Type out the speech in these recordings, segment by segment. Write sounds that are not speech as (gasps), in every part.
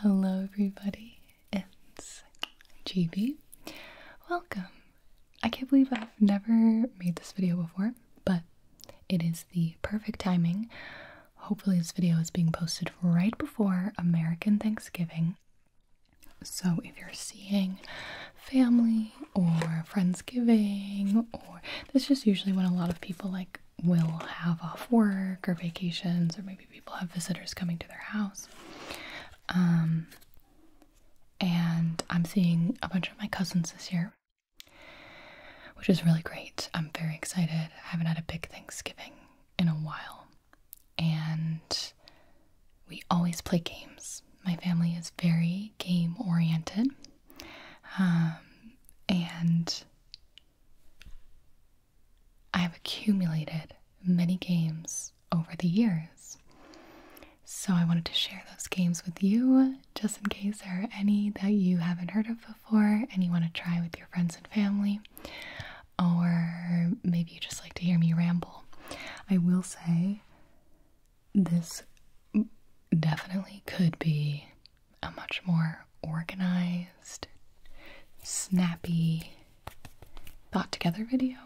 Hello, everybody. It's GB. Welcome. I can't believe I've never made this video before, but it is the perfect timing. Hopefully, this video is being posted right before American Thanksgiving. So, if you're seeing family or friends giving, or this is just usually when a lot of people like will have off work or vacations, or maybe people have visitors coming to their house. Um, and I'm seeing a bunch of my cousins this year, which is really great. I'm very excited. I haven't had a big Thanksgiving in a while. And we always play games. My family is very game oriented. Um, and I have accumulated many games over the years. So I wanted to share those games with you just in case there are any that you haven't heard of before and you want to try with your friends and family, or maybe you just like to hear me ramble. I will say this definitely could be a much more organized, snappy, thought together video.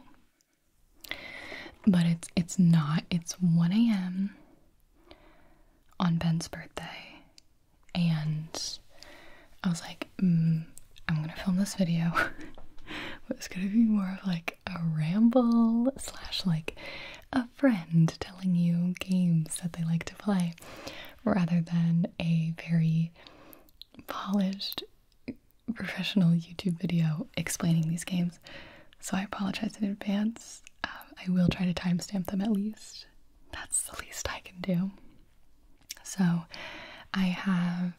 But it's it's not. It's 1 a.m. on Ben's birthday, and I was like, mm, I'm gonna film this video. (laughs) but it's gonna be more of like a ramble slash like a friend telling you games that they like to play rather than a very polished professional YouTube video explaining these games, so I apologize in advance. Um, I will try to timestamp them at least. That's the least I can do. So I have,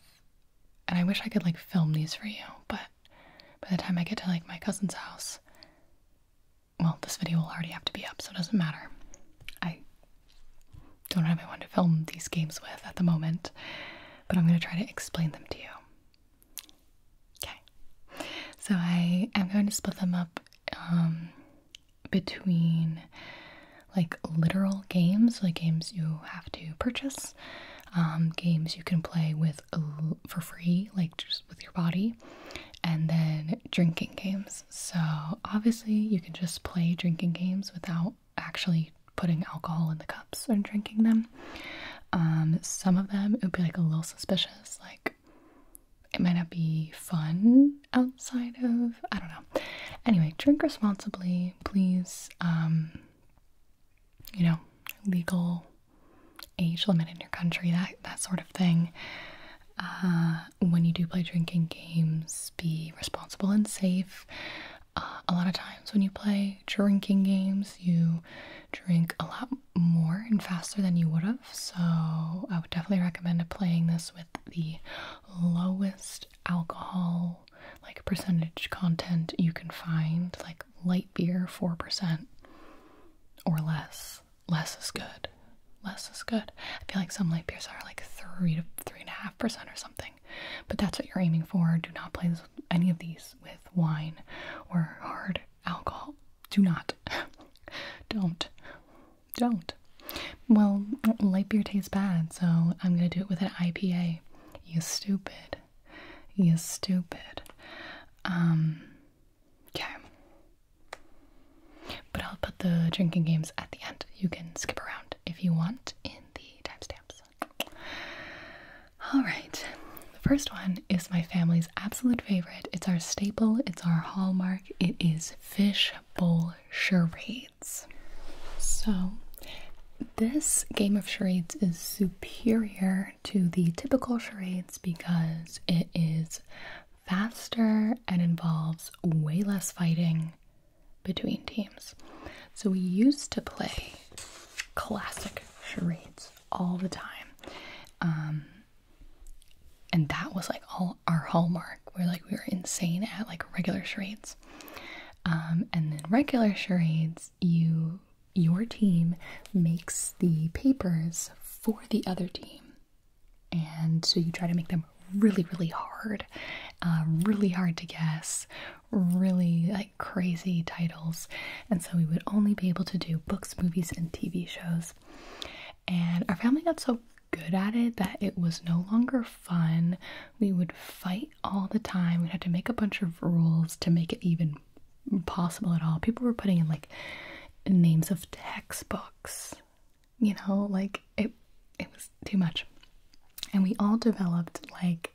and I wish I could like film these for you, but by the time I get to like my cousin's house, well, this video will already have to be up, so it doesn't matter. I don't have anyone to film these games with at the moment, but I'm going to try to explain them to you. Okay. So I am going to split them up um, between like literal games, like games you have to purchase, um, games you can play with for free, like just with your body, and then drinking games. So, obviously, you can just play drinking games without actually putting alcohol in the cups and drinking them. Um, some of them it would be like a little suspicious, like it might not be fun outside of I don't know. Anyway, drink responsibly, please. Um, you know, legal age limit in your country, that that sort of thing. Uh, when you do play drinking games, be responsible and safe. Uh, a lot of times when you play drinking games, you drink a lot more and faster than you would have. So I would definitely recommend playing this with the lowest alcohol like percentage content you can find, like light beer, 4% or less. Less is good less is good. I feel like some light beers are like three to three and a half percent or something, but that's what you're aiming for. Do not play this, any of these with wine or hard alcohol. Do not. (laughs) Don't. Don't. Well, light beer tastes bad, so I'm gonna do it with an IPA. You stupid. You stupid. Um. Okay. But I'll put the drinking games at the end. You can skip around if you want in the timestamps. All right, the first one is my family's absolute favorite. It's our staple, it's our hallmark. It is fish bowl charades. So, this game of charades is superior to the typical charades because it is faster and involves way less fighting between teams. So we used to play classic charades all the time. Um, and that was like all our hallmark. Where like, we were insane at like regular charades. Um, and then regular charades, you your team makes the papers for the other team. And so you try to make them really, really hard, um, really hard to guess, really like crazy titles. And so we would only be able to do books, movies, and TV shows. And our family got so good at it that it was no longer fun. We would fight all the time. we had to make a bunch of rules to make it even possible at all. People were putting in like names of textbooks you know, like it it was too much. And we all developed like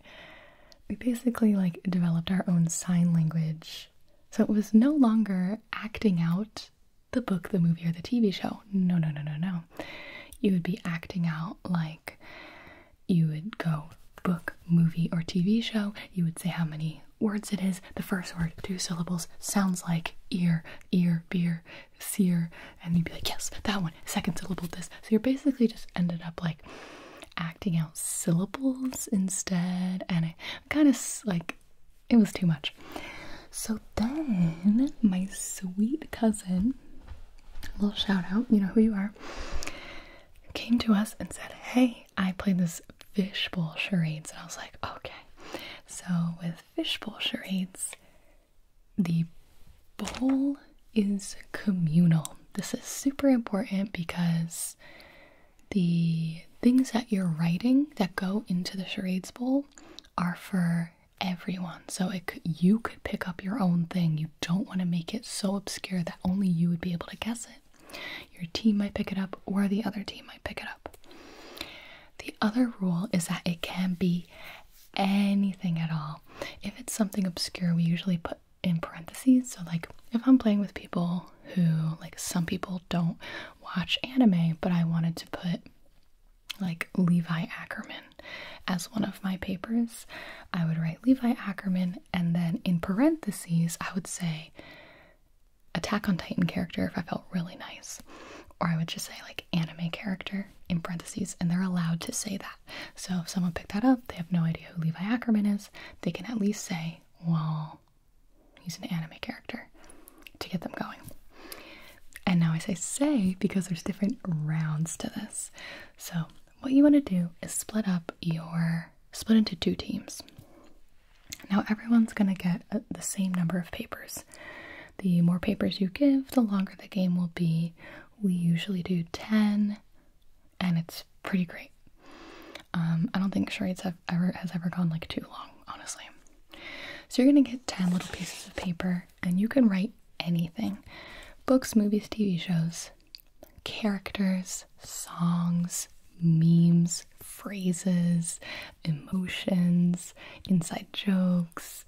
we basically like developed our own sign language. So it was no longer acting out the book, the movie, or the TV show. No, no, no, no, no. You would be acting out like you would go book, movie, or TV show. You would say how many words it is. The first word, two syllables, sounds like ear, ear, beer seer and you'd be like yes that one second syllable this so you're basically just ended up like acting out syllables instead and it kind of like it was too much so then my sweet cousin little shout out you know who you are came to us and said hey i played this fishbowl charades and i was like okay so with fishbowl charades the bowl is communal. This is super important because the things that you're writing that go into the charades bowl are for everyone. So you could pick up your own thing. You don't want to make it so obscure that only you would be able to guess it. Your team might pick it up, or the other team might pick it up. The other rule is that it can be anything at all. If it's something obscure, we usually put in parentheses. So, like, if I'm playing with people who, like, some people don't watch anime, but I wanted to put, like, Levi Ackerman as one of my papers, I would write Levi Ackerman, and then in parentheses, I would say Attack on Titan character if I felt really nice. Or I would just say, like, anime character in parentheses, and they're allowed to say that. So if someone picked that up, they have no idea who Levi Ackerman is, they can at least say, well, he's an anime character to get them going. And now I say say because there's different rounds to this. So what you want to do is split up your split into two teams. Now everyone's going to get uh, the same number of papers. The more papers you give, the longer the game will be, we usually do 10, and it's pretty great. Um, I don't think charades have ever has ever gone like too long, honestly. So you're gonna get 10 little pieces of paper, and you can write anything: books, movies, TV shows, characters, songs, memes, phrases, emotions, inside jokes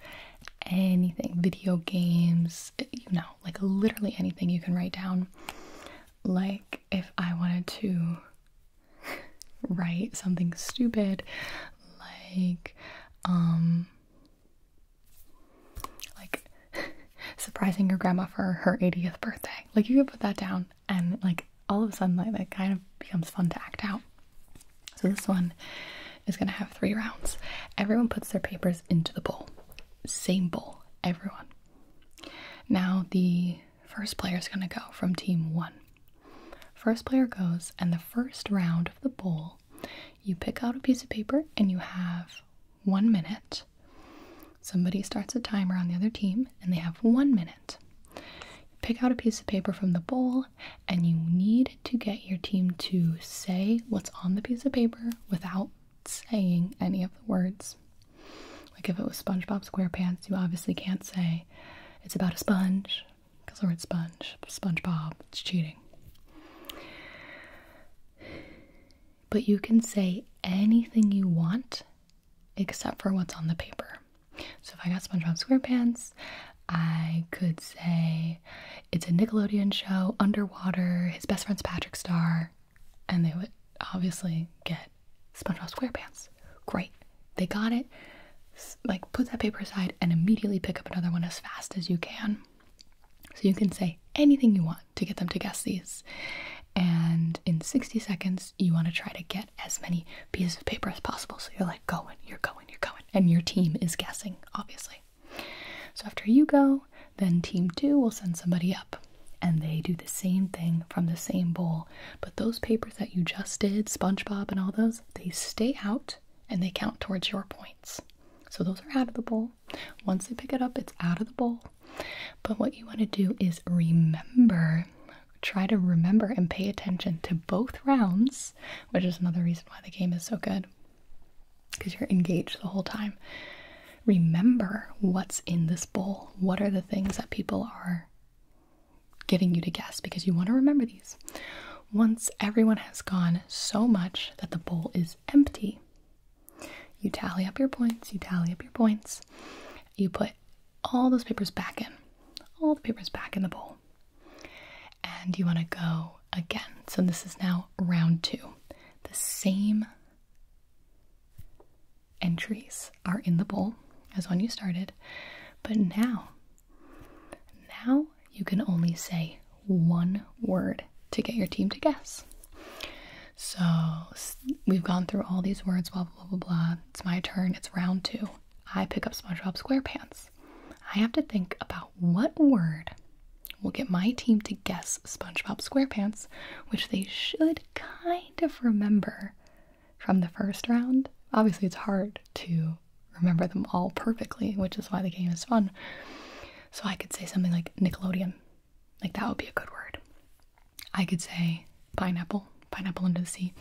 anything, video games, you know, like literally anything you can write down. Like if I wanted to write something stupid, like, um, like (laughs) surprising your grandma for her 80th birthday. Like you could put that down and like all of a sudden like that kind of becomes fun to act out. So this one is going to have three rounds. Everyone puts their papers into the bowl. Same bowl, everyone. Now the first player is going to go from team one. First player goes, and the first round of the bowl, you pick out a piece of paper and you have one minute. Somebody starts a timer on the other team and they have one minute. pick out a piece of paper from the bowl and you need to get your team to say what's on the piece of paper without saying any of the words. Like if it was SpongeBob SquarePants, you obviously can't say it's about a sponge because the word sponge, SpongeBob, it's cheating. But you can say anything you want except for what's on the paper. So if I got SpongeBob SquarePants I could say it's a Nickelodeon show, underwater, his best friend's Patrick Star, and they would obviously get SpongeBob SquarePants. Great. They got it. Like, put that paper aside and immediately pick up another one as fast as you can. So you can say anything you want to get them to guess these. And in 60 seconds, you want to try to get as many pieces of paper as possible. So you're like, going, you're going, you're going. And your team is guessing, obviously. So after you go, then team two will send somebody up and they do the same thing from the same bowl. But those papers that you just did, SpongeBob and all those, they stay out and they count towards your points. So those are out of the bowl. Once they pick it up, it's out of the bowl. But what you want to do is remember, try to remember and pay attention to both rounds, which is another reason why the game is so good because you're engaged the whole time. Remember what's in this bowl. What are the things that people are getting you to guess because you want to remember these. Once everyone has gone so much that the bowl is empty, you tally up your points, you tally up your points, you put all those papers back in, all the papers back in the bowl, and you want to go again. So this is now round two. The same entries are in the bowl as when you started, but now, now you can only say one word to get your team to guess. So we've gone through all these words, blah, blah, blah, blah, blah. It's my turn. It's round two. I pick up SpongeBob SquarePants. I have to think about what word will get my team to guess SpongeBob SquarePants, which they should kind of remember from the first round? Obviously, it's hard to remember them all perfectly, which is why the game is fun. So I could say something like Nickelodeon. Like that would be a good word. I could say pineapple, pineapple into the sea.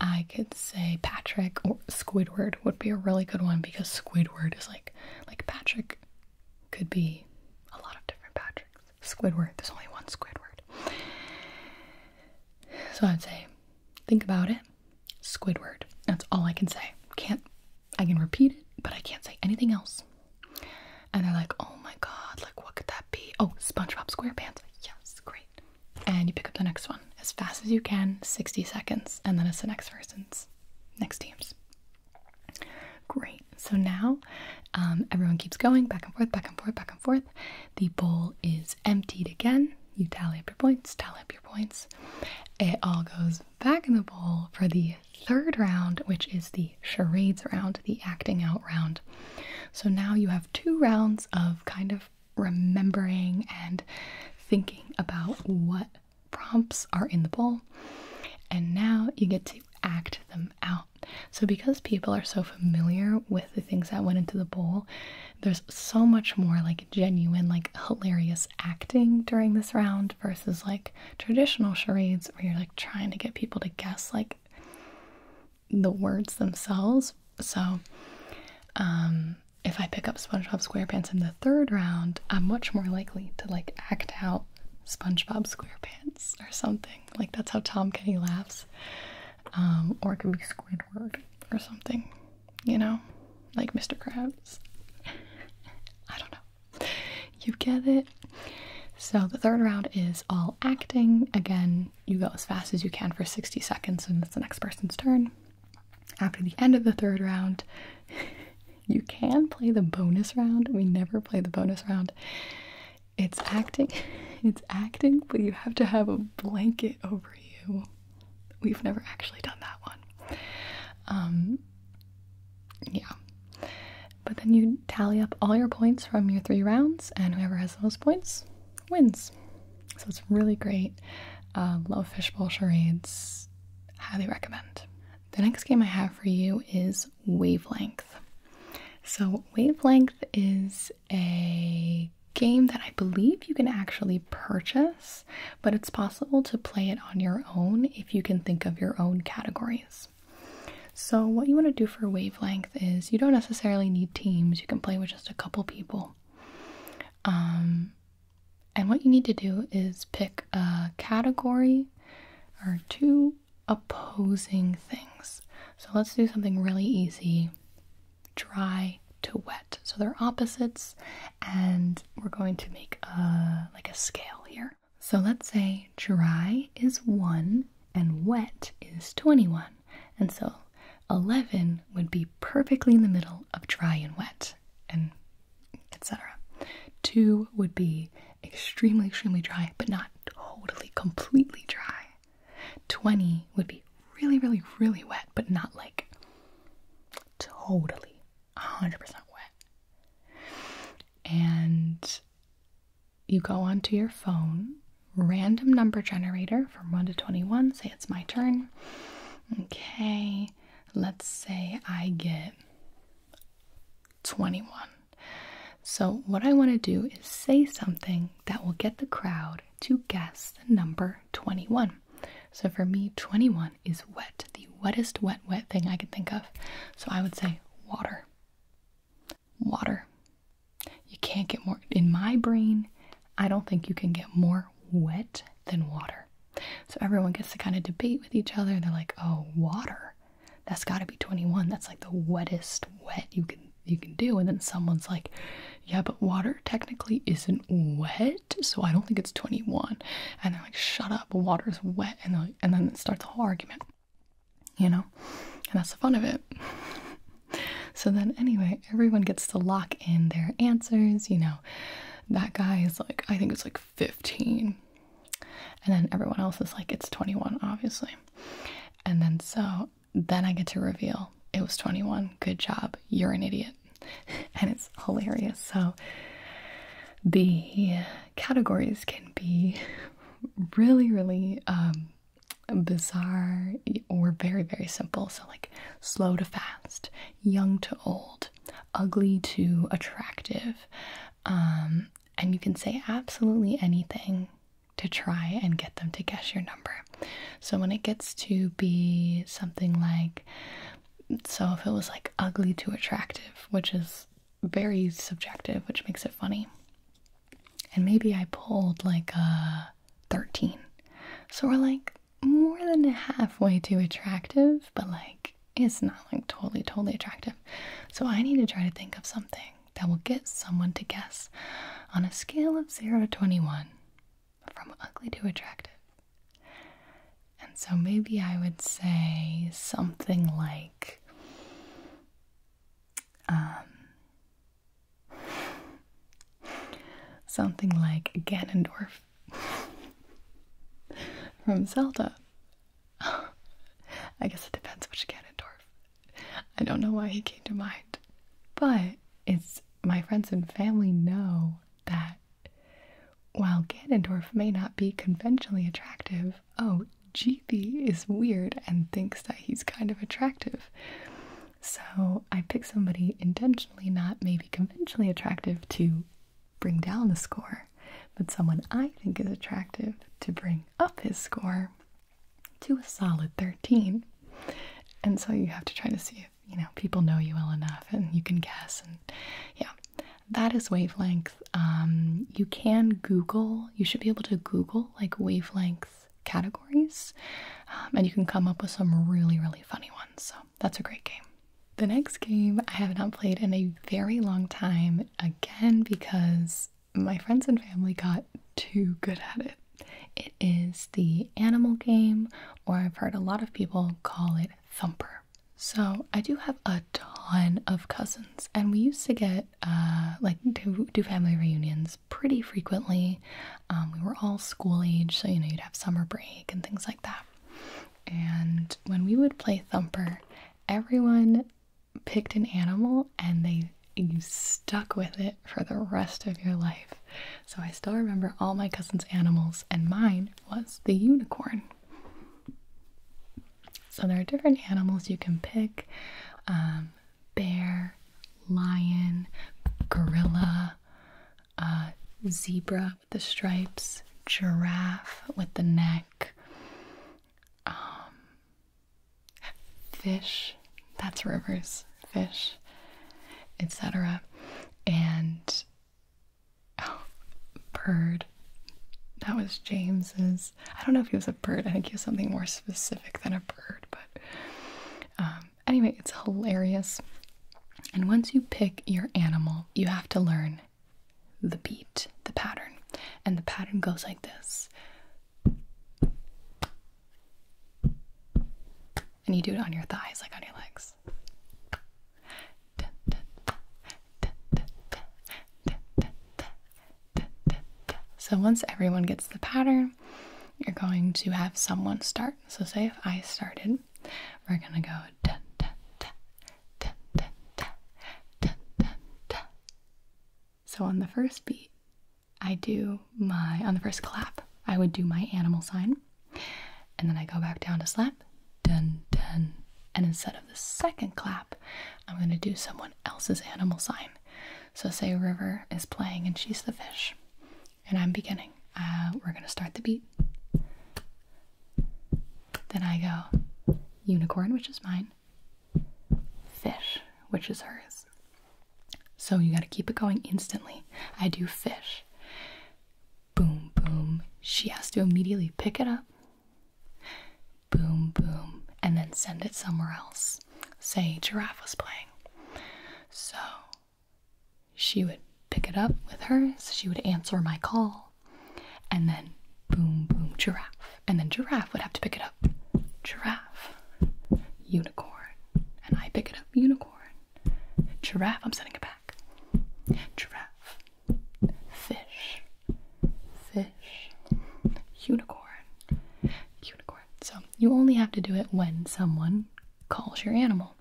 I could say Patrick or Squidward would be a really good one because Squidward is like like Patrick could be a lot of different Patricks. Squidward, there's only one Squidward. So I'd say think about it. Squidward. That's all I can say. Can't I can repeat it, but I can't say anything else. And they're like, oh my god, like what could that be? Oh, SpongeBob SquarePants. Yes, great. And you pick up the next one as fast as you can, 60 seconds, and then it's the next person's, next team's. Great. So now um, everyone keeps going back and forth, back and forth, back and forth. The bowl is emptied again. You tally up your points, tally up your points. It all goes back in the bowl for the third round, which is the charades round, the acting out round. So now you have two rounds of kind of remembering and thinking about what prompts are in the bowl, and now you get to act them out. So, because people are so familiar with the things that went into the bowl, there's so much more like genuine, like hilarious acting during this round versus like traditional charades where you're like trying to get people to guess like the words themselves. So, um, if I pick up SpongeBob SquarePants in and third round, I'm much more likely to like act out SpongeBob SquarePants or something. Like that's how Tom Kenny laughs. Um, or it could be Squidward or something, you know, like Mr. Krabs. (laughs) I don't know. You get it? So the third round is all acting. Again, you go as fast as you can for 60 seconds, and it's the next person's turn. After the end of the third round, (laughs) You can play the bonus round. We never play the bonus round. It's acting. (laughs) It's acting, but you have to have a blanket over you. We've never actually done that one. Um yeah. But then you tally up all your points from your three rounds, and whoever has the most points wins. So it's really great. Uh, love fishbowl charades. Highly recommend. The next game I have for you is Wavelength. So, Wavelength is a game that I believe you can actually purchase, but it's possible to play it on your own if you can think of your own categories. So, what you want to do for Wavelength is you don't necessarily need teams, you can play with just a couple people. Um, and what you need to do is pick a category or two opposing things. So let's do something really easy dry to wet. So they're opposites, and we're going to make a, like a scale here. So let's say dry is 1 and wet is 21. And so 11 would be perfectly in the middle of dry and wet. And etc. Two would be extremely, extremely dry, but not totally, completely dry. 20 would be really, really, really wet, but not like totally 100% wet. And you go onto your phone, random number generator from 1 to 21. Say it's my turn. Okay, let's say I get 21. So, what I want to do is say something that will get the crowd to guess the number 21. So, for me, 21 is wet, the wettest wet, wet thing I could think of. So, I would say water. Water. You can't get more, in my brain, I don't think you can get more wet than water. So everyone gets to kind of debate with each other. They're like, "Oh, water. That's got to be 21. That's like the wettest wet you can you can do." And then someone's like, "Yeah, but water technically isn't wet, so I don't think it's 21." And they're like, "Shut up. Water's wet." And like, and then it starts a whole argument. You know? And that's the fun of it. (laughs) so then anyway, everyone gets to lock in their answers, you know. That guy is like, I think it's like 15. And then everyone else is like, it's 21, obviously. And then so then I get to reveal it was 21. Good job. You're an idiot. (laughs) And it's hilarious. So the categories can be really, really um, bizarre or very, very simple. So, like slow to fast, young to old, ugly to attractive. Um, and you can say absolutely anything to try and get them to guess your number. So when it gets to be something like, so if it was like ugly to attractive, which is very subjective, which makes it funny. And maybe I pulled like a 13. So we're like more than halfway to attractive, but like it's not like totally, totally attractive. So I need to try to think of something that will get someone to guess on a scale of 0 to 21 from ugly to attractive. And so maybe I would say something like, um, something like Ganondorf (laughs) from Zelda. (sighs) I guess it depends which Ganondorf. I don't know why he came to mind. But it's my friends and family know that while Ganondorf may not be conventionally attractive, oh, GB is weird and thinks that he's kind of attractive. So I pick somebody intentionally not maybe conventionally attractive to bring down the score, but someone I think is attractive to bring up his score to a solid 13. And so you have to try to see if, you know, people know you well enough and you can guess. And yeah, that is wavelength. Um, you can Google, you should be able to Google like wavelength categories, um, and you can come up with some really, really funny ones. So that's a great game. The next game I have not played in a very long time, again, because my friends and family got too good at it. It is the animal game, or I've heard a lot of people call it Thumper. So, I do have a ton of cousins, and we used to get, uh, like, do, do family reunions pretty frequently. Um, we were all school age, so you know, you'd have summer break and things like that. And when we would play Thumper, everyone picked an animal and they you stuck with it for the rest of your life. So I still remember all my cousins' animals, and mine was the unicorn. So there are different animals you can pick um, bear, lion, gorilla, uh, zebra with the stripes, giraffe with the neck, um, fish, that's rivers, fish, etc. And oh, bird. That was James's. I don't know if he was a bird. I think he was something more specific than a bird, but um, anyway, it's hilarious. And once you pick your animal, you have to learn the beat, the pattern. And the pattern goes like this. And you do it on your thighs, like on your legs. So once everyone gets the pattern, you're going to have someone start. So say if I started, we're gonna go. So on the first beat, I do my, on the first clap, I would do my animal sign. And then I go back down to slap, dun dun. And instead of the second clap, I'm going to do someone else's animal sign. So, say River is playing and she's the fish, and I'm beginning. Uh, we're going to start the beat. Then I go unicorn, which is mine, fish, which is hers. So you got to keep it going instantly. I do fish. Boom, boom. She has to immediately pick it up. Boom, boom. And then send it somewhere else. Say, giraffe was playing. So she would pick it up with hers. She would answer my call. And then boom, boom, giraffe. And then giraffe would have to pick it up. Giraffe, unicorn. And I pick it up, unicorn. Giraffe, I'm sending it back. Giraffe, fish, fish, unicorn, unicorn. So you only have to do it when someone calls your animal.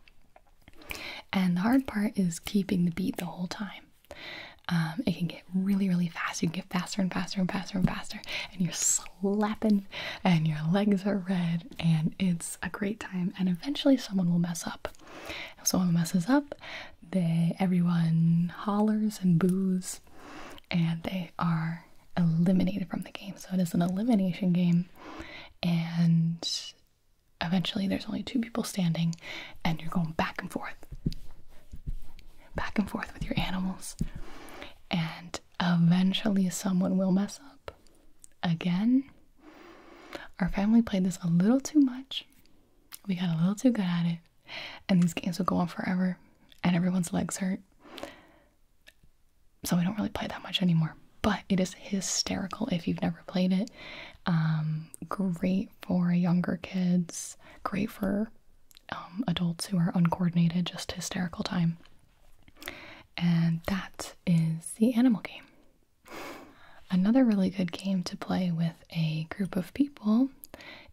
And the hard part is keeping the beat the whole time. Um, it can get really, really fast. You can get faster and faster and faster and faster, and you're slapping, and your legs are red, and it's a great time. And eventually, someone will mess up. If someone messes up, they everyone hollers and boos, and they are eliminated from the game. So it is an elimination game, and eventually, there's only two people standing, and you're going back and forth back and forth with your animals. And eventually, someone will mess up. Again, our family played this a little too much. We got a little too good at it. And these games will go on forever, and everyone's legs hurt. So we don't really play that much anymore. But it is hysterical if you've never played it. Um, great for younger kids, great for um, adults who are uncoordinated, just hysterical time. And that is the animal game. Another really good game to play with a group of people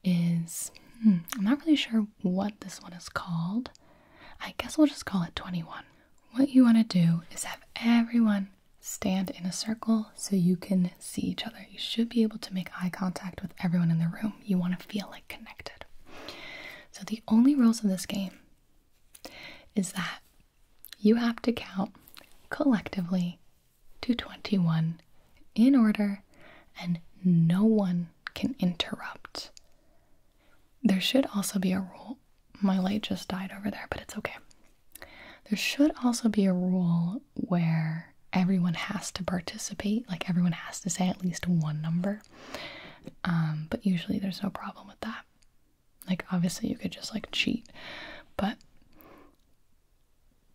is hmm, I'm not really sure what this one is called. I guess we'll just call it 21. What you want to do is have everyone stand in a circle so you can see each other. You should be able to make eye contact with everyone in the room. You want to feel like connected. So, the only rules of this game is that you have to count collectively to 21 in order, and no one can interrupt. There should also be a rule. My light just died over there, but it's okay. There should also be a rule where everyone has to participate, like everyone has to say at least one number. Um, but usually there's no problem with that. Like, obviously, you could just like cheat, but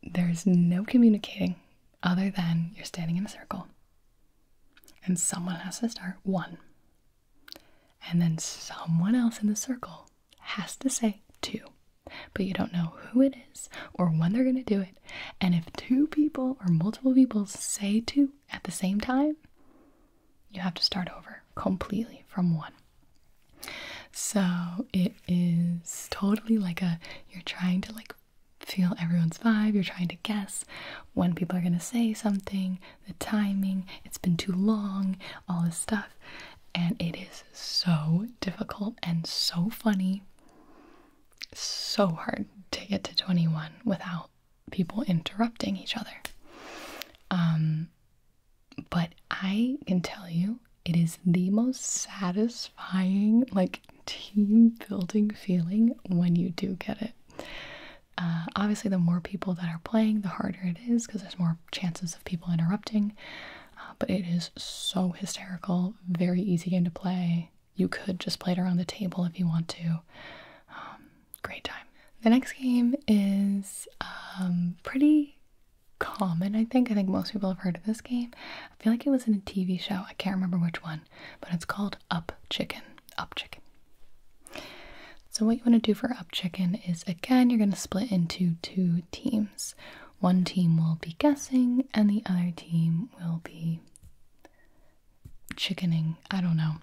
there's no communicating other than you're standing in a circle and someone has to start one. And then someone else in the circle has to say two but you don't know who it is or when they're going to do it. And if two people or multiple people say two at the same time, you have to start over completely from one. So it is totally like a you're trying to like feel everyone's vibe, you're trying to guess when people are going to say something, the timing, it's been too long, all this stuff. And it is so difficult and so funny so hard to get to 21 without people interrupting each other. Um, but I can tell you, it is the most satisfying, like team building feeling when you do get it. Uh, obviously, the more people that are playing, the harder it is because there's more chances of people interrupting. Uh, but it is so hysterical, very easy game to play. You could just play it around the table if you want to. Um, great time. The next game is um, pretty common, I think. I think most people have heard of this game. I feel like it was in a TV show. I can't remember which one, but it's called Up Chicken. Up Chicken. So, what you want to do for Up Chicken is again, you're going to split into two teams one team will be guessing and the other team will be chickening. I don't know.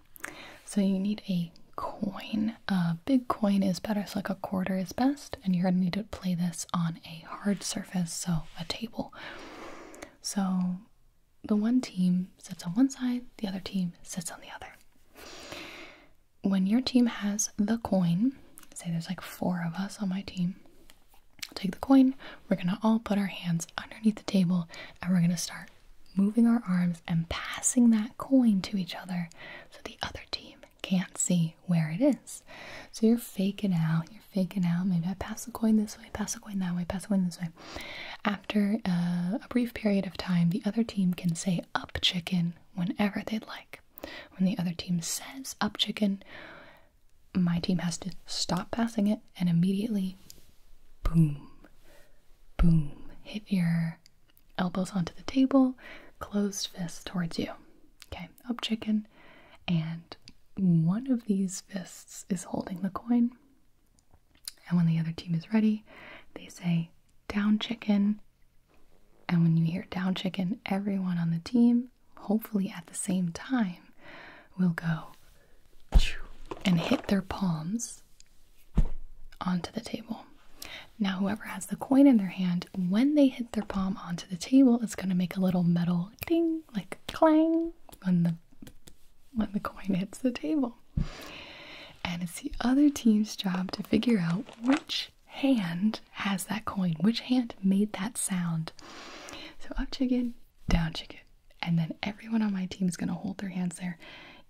So you need a coin. A big coin is better, so like a quarter is best, and you're gonna need to play this on a hard surface, so a table. So the one team sits on one side, the other team sits on the other. When your team has the coin, say there's like four of us on my team, take the coin. We're going to all put our hands underneath the table and we're going to start moving our arms and passing that coin to each other so the other team can't see where it is. So you're faking out, you're faking out. Maybe I pass the coin this way, pass the coin that way, pass the coin this way. After uh, a brief period of time, the other team can say up chicken whenever they'd like. When the other team says up chicken, my team has to stop passing it and immediately boom, boom, hit your elbows onto the table, closed fists towards you. Okay, up chicken, and one of these fists is holding the coin. And when the other team is ready, they say down chicken. And when you hear down chicken, everyone on the team hopefully at the same time, will go and hit their palms onto the table. Now, whoever has the coin in their hand, when they hit their palm onto the table, it's going to make a little metal ding, like clang, when the when the coin hits the table. And it's the other team's job to figure out which hand has that coin, which hand made that sound. So up chicken, down chicken. And then everyone on my team is going to hold their hands there.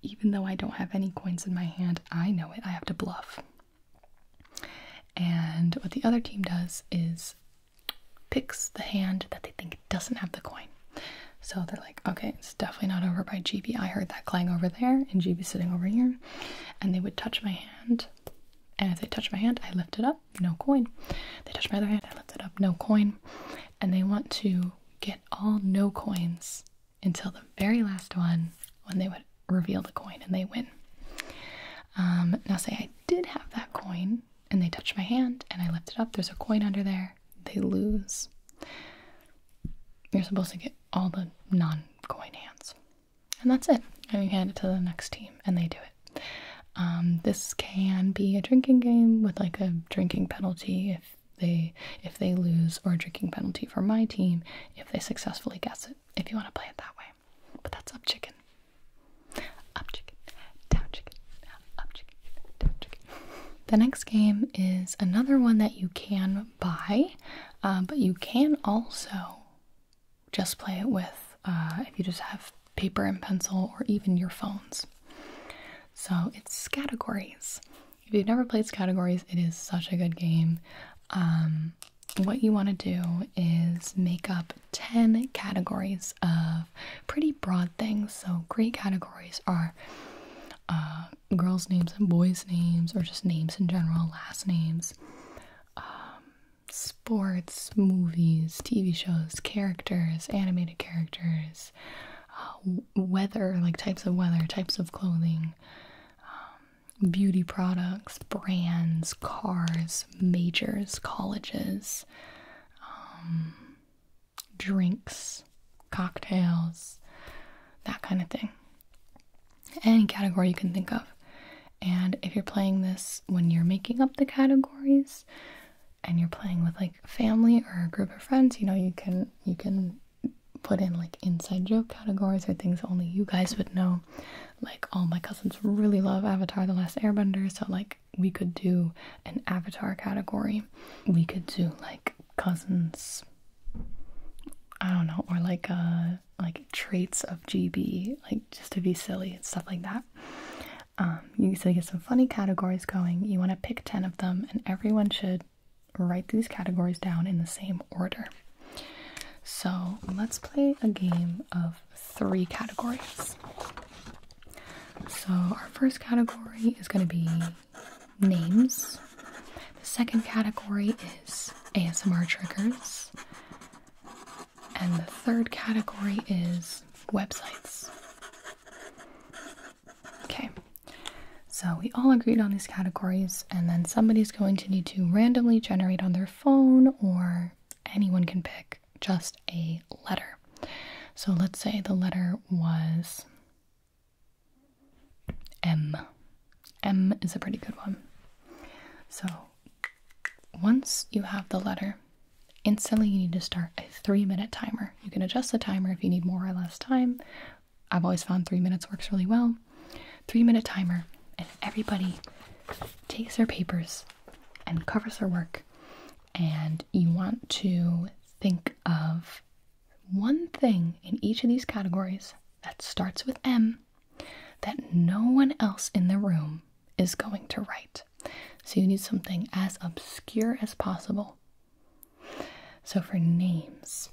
Even though I don't have any coins in my hand, I know it. I have to bluff. And what the other team does is picks the hand that they think doesn't have the coin. So they're like, okay, it's definitely not over by GB. I heard that clang over there, and GB's sitting over here. And they would touch my hand and as they touch my hand, I lift it up, no coin. They touch my other hand, I lift it up, no coin. And they want to get all no coins until the very last one when they would reveal the coin and they win. Um, now, say I did have that coin and they touch my hand and I lift it up, there's a coin under there, they lose. You're supposed to get all the non coin hands. And that's it. And you hand it to the next team and they do it. Um, this can be a drinking game with like a drinking penalty if they if they lose, or a drinking penalty for my team if they successfully guess it. If you want to play it that way, but that's up chicken, up chicken, down chicken, up chicken, down chicken. The next game is another one that you can buy, uh, but you can also just play it with uh, if you just have paper and pencil or even your phones. So it's categories. If you've never played categories, it is such a good game. Um, what you want to do is make up 10 categories of pretty broad things. So, great categories are uh, girls' names and boys' names, or just names in general, last names, um, sports, movies, TV shows, characters, animated characters, uh, weather, like types of weather, types of clothing, um, beauty products, brands, cars, majors, colleges, um, drinks, cocktails, that kind of thing. Any category you can think of. And if you're playing this when you're making up the categories, and you're playing with like family or a group of friends, you know, you can you can put in like inside joke categories or things only you guys would know. Like all my cousins really love Avatar the Last Airbender, so like we could do an Avatar category. We could do like cousins I don't know, or like uh like traits of GB, like just to be silly and stuff like that. Um, you, so you get some funny categories going. You want to pick 10 of them, and everyone should write these categories down in the same order. So let's play a game of three categories. So our first category is going to be names. The second category is ASMR triggers. And the third category is websites. Okay, so we all agreed on these categories, and then somebody's going to need to randomly generate on their phone, or anyone can pick just a letter. So let's say the letter was M. M is a pretty good one. So once you have the letter, instantly you need to start a three minute timer. You can adjust the timer if you need more or less time. I've always found three minutes works really well. Three minute timer, and everybody takes their papers and covers their work. And you want to think of one thing in each of these categories that starts with M that no one else in the room is going to write. So you need something as obscure as possible. So for names,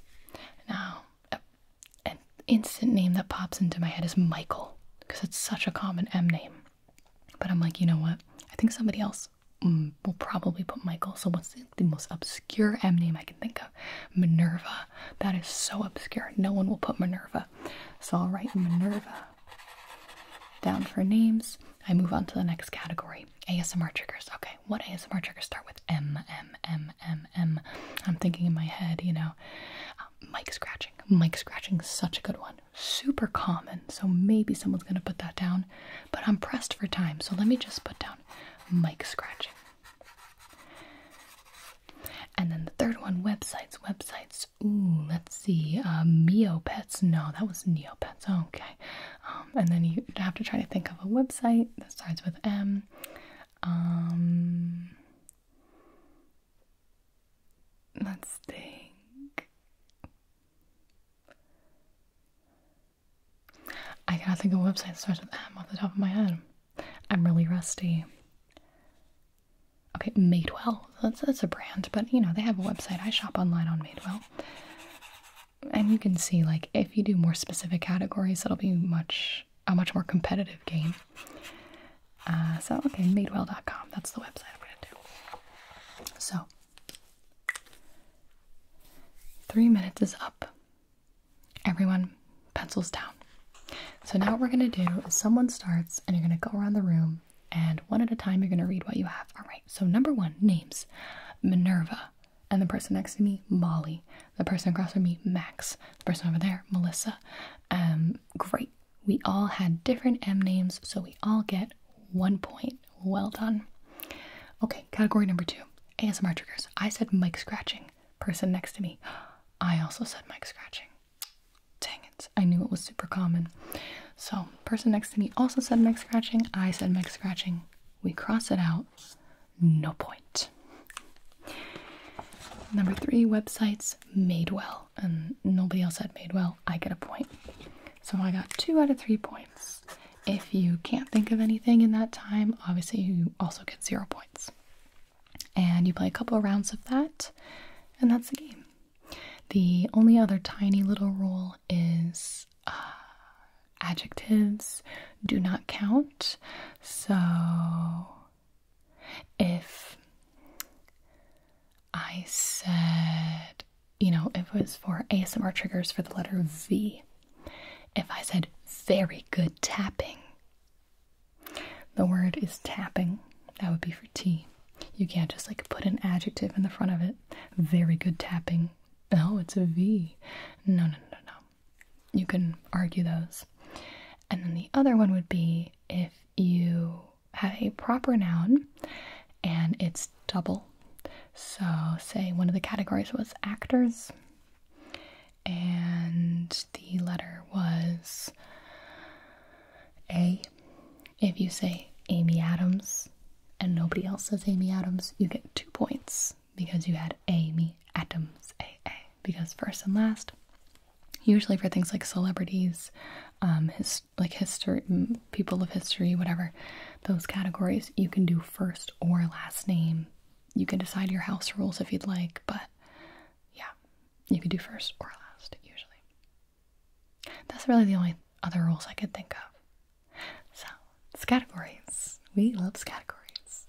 now an instant name that pops into my head is Michael because it's such a common M name. But I'm like, you know what? I think somebody else mm, will probably put Michael. So what's the most obscure M name I can think of? Minerva. That is so obscure. No one will put Minerva. So I'll write Minerva down for names. I move on to the next category ASMR triggers. Okay, what ASMR triggers start with M, M, M, M, M? I'm thinking in my head, you know, uh, mic scratching. Mic scratching such a good one. Super common, so maybe someone's gonna put that down, but I'm pressed for time, so let me just put down mic scratching. And then the third one websites, websites. Ooh, let's see. Uh, No, that was Neopets. Okay. Um, and then you have to try to think of a website that starts with M. Um, let's think. I cannot think of a website that starts with M off the top of my head. I'm really rusty. Okay, Madewell. That's that's a brand, but you know, they have a website. I shop online on Made Well, And you can see like if you do more specific categories, it'll be much a much more competitive game. Uh, so okay, Made madewell.com. That's the website I'm gonna do. So three minutes is up. Everyone pencils down. So now what we're gonna do is someone starts and you're gonna go around the room and one at a time you're going to read what you have. All right, so number one names Minerva, and the person next to me, Molly, the person across from me, Max, the person over there, Melissa. Um, great, we all had different M names, so we all get one point. Well done. Okay, category number two ASMR triggers. I said mic scratching, person next to me. I also said mic scratching. Dang it, I knew it was super common. So, person next to me also said mech scratching. I said mech scratching. We cross it out. No point. Number three, websites made well. And nobody else said made well. I get a point. So I got two out of three points. If you can't think of anything in that time, obviously you also get zero points. And you play a couple rounds of that, and that's the game. The only other tiny little rule is uh, adjectives do not count. So if I said, you know, it was for ASMR triggers for the letter V, if I said very good tapping, the word is tapping, that would be for T. You can't just like put an adjective in the front of it. Very good tapping. Oh, it's a V. No, no, no, no, You can argue those. And then the other one would be if you have a proper noun and it's double. So, say one of the categories was actors, and the letter was a. If you say Amy Adams and nobody else says Amy Adams, you get two points because you had Amy Adams A A Because first and last, usually for things like celebrities, um, his, like history, people of history, whatever, those categories, you can do first or last name. You can decide your house rules if you'd like, but yeah, you can do first or last usually. That's really the only other rules I could think of. So, it's categories. We love categories.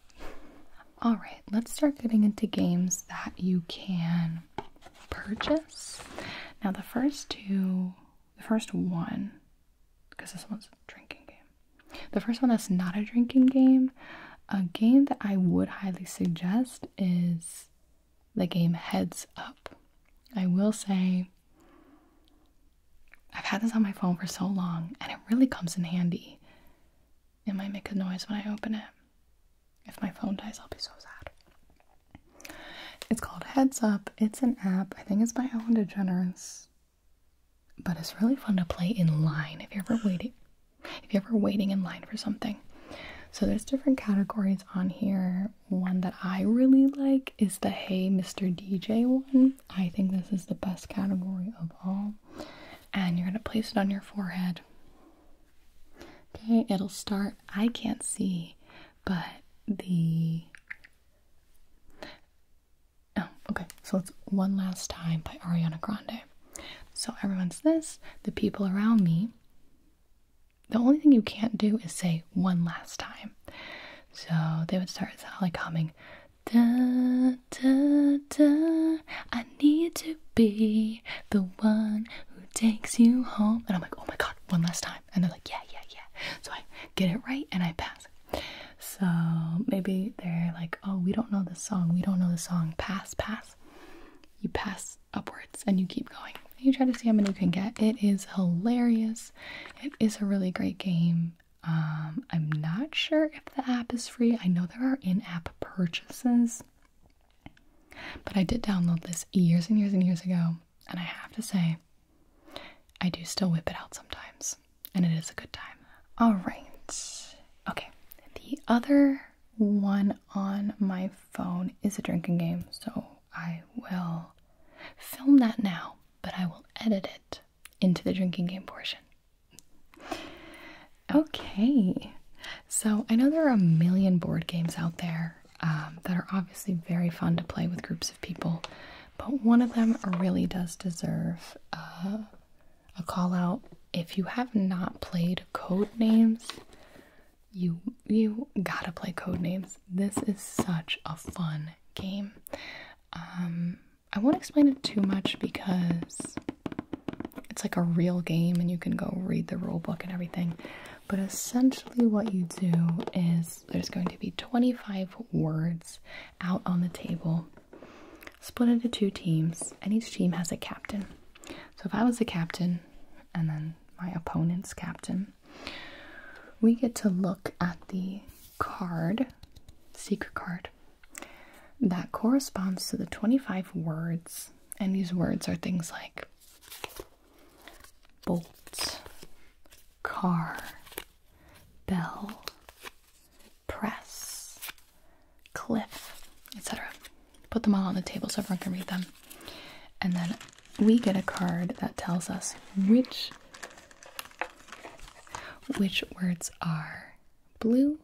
Alright, let's start getting into games that you can purchase. Now, the first two, the first one, because this one's a drinking game. The first one that's not a drinking game, a game that I would highly suggest is the game heads up. I will say, I've had this on my phone for so long and it really comes in handy. It might make a noise when I open it. If my phone dies, I'll be so sad. It's called Heads Up. It's an app. I think it's by Ellen DeGeneres. But it's really fun to play in line if you're ever waiting. If you ever waiting in line for something. So there's different categories on here one that I really like is the Hey Mr. DJ one. I think this is the best category of all. And you're going to place it on your forehead. Okay, it'll start. I can't see, but the. Oh, okay. So it's One Last Time by Ariana Grande. So everyone's this, the people around me the only thing you can't do is say one last time. So they would start like humming, da, da, da, I need to be the one who takes you home. And I'm like, oh my god, one last time. And they're like, yeah, yeah, yeah. So I get it right and I pass. So maybe they're like, oh, we don't know the song. We don't know the song. Pass, pass. You pass upwards and you keep going. You try to see how many you can get. It is hilarious. It is a really great game. Um, I'm not sure if the app is free. I know there are in-app purchases, but I did download this years and years and years ago, and I have to say, I do still whip it out sometimes, and it is a good time. All right, okay. The other one on my phone is a drinking game, so I will film that now, but I will edit it into the drinking game portion. Okay, so I know there are a million board games out there um, that are obviously very fun to play with groups of people, but one of them really does deserve uh, a call out. If you have not played Code Names, you you gotta play Code Names this is such a fun game. Um, I won't explain it too much because it's like a real game and you can go read the rule book and everything. But essentially, what you do is there's going to be 25 words out on the table, split into two teams, and each team has a captain. So if I was the captain, and then my opponent's captain, we get to look at the card, secret card, that corresponds to the 25 words. And these words are things like bolt, car, bell, press, cliff, etc. Put them all on the table so everyone can read them. And then we get a card that tells us which which words are blue,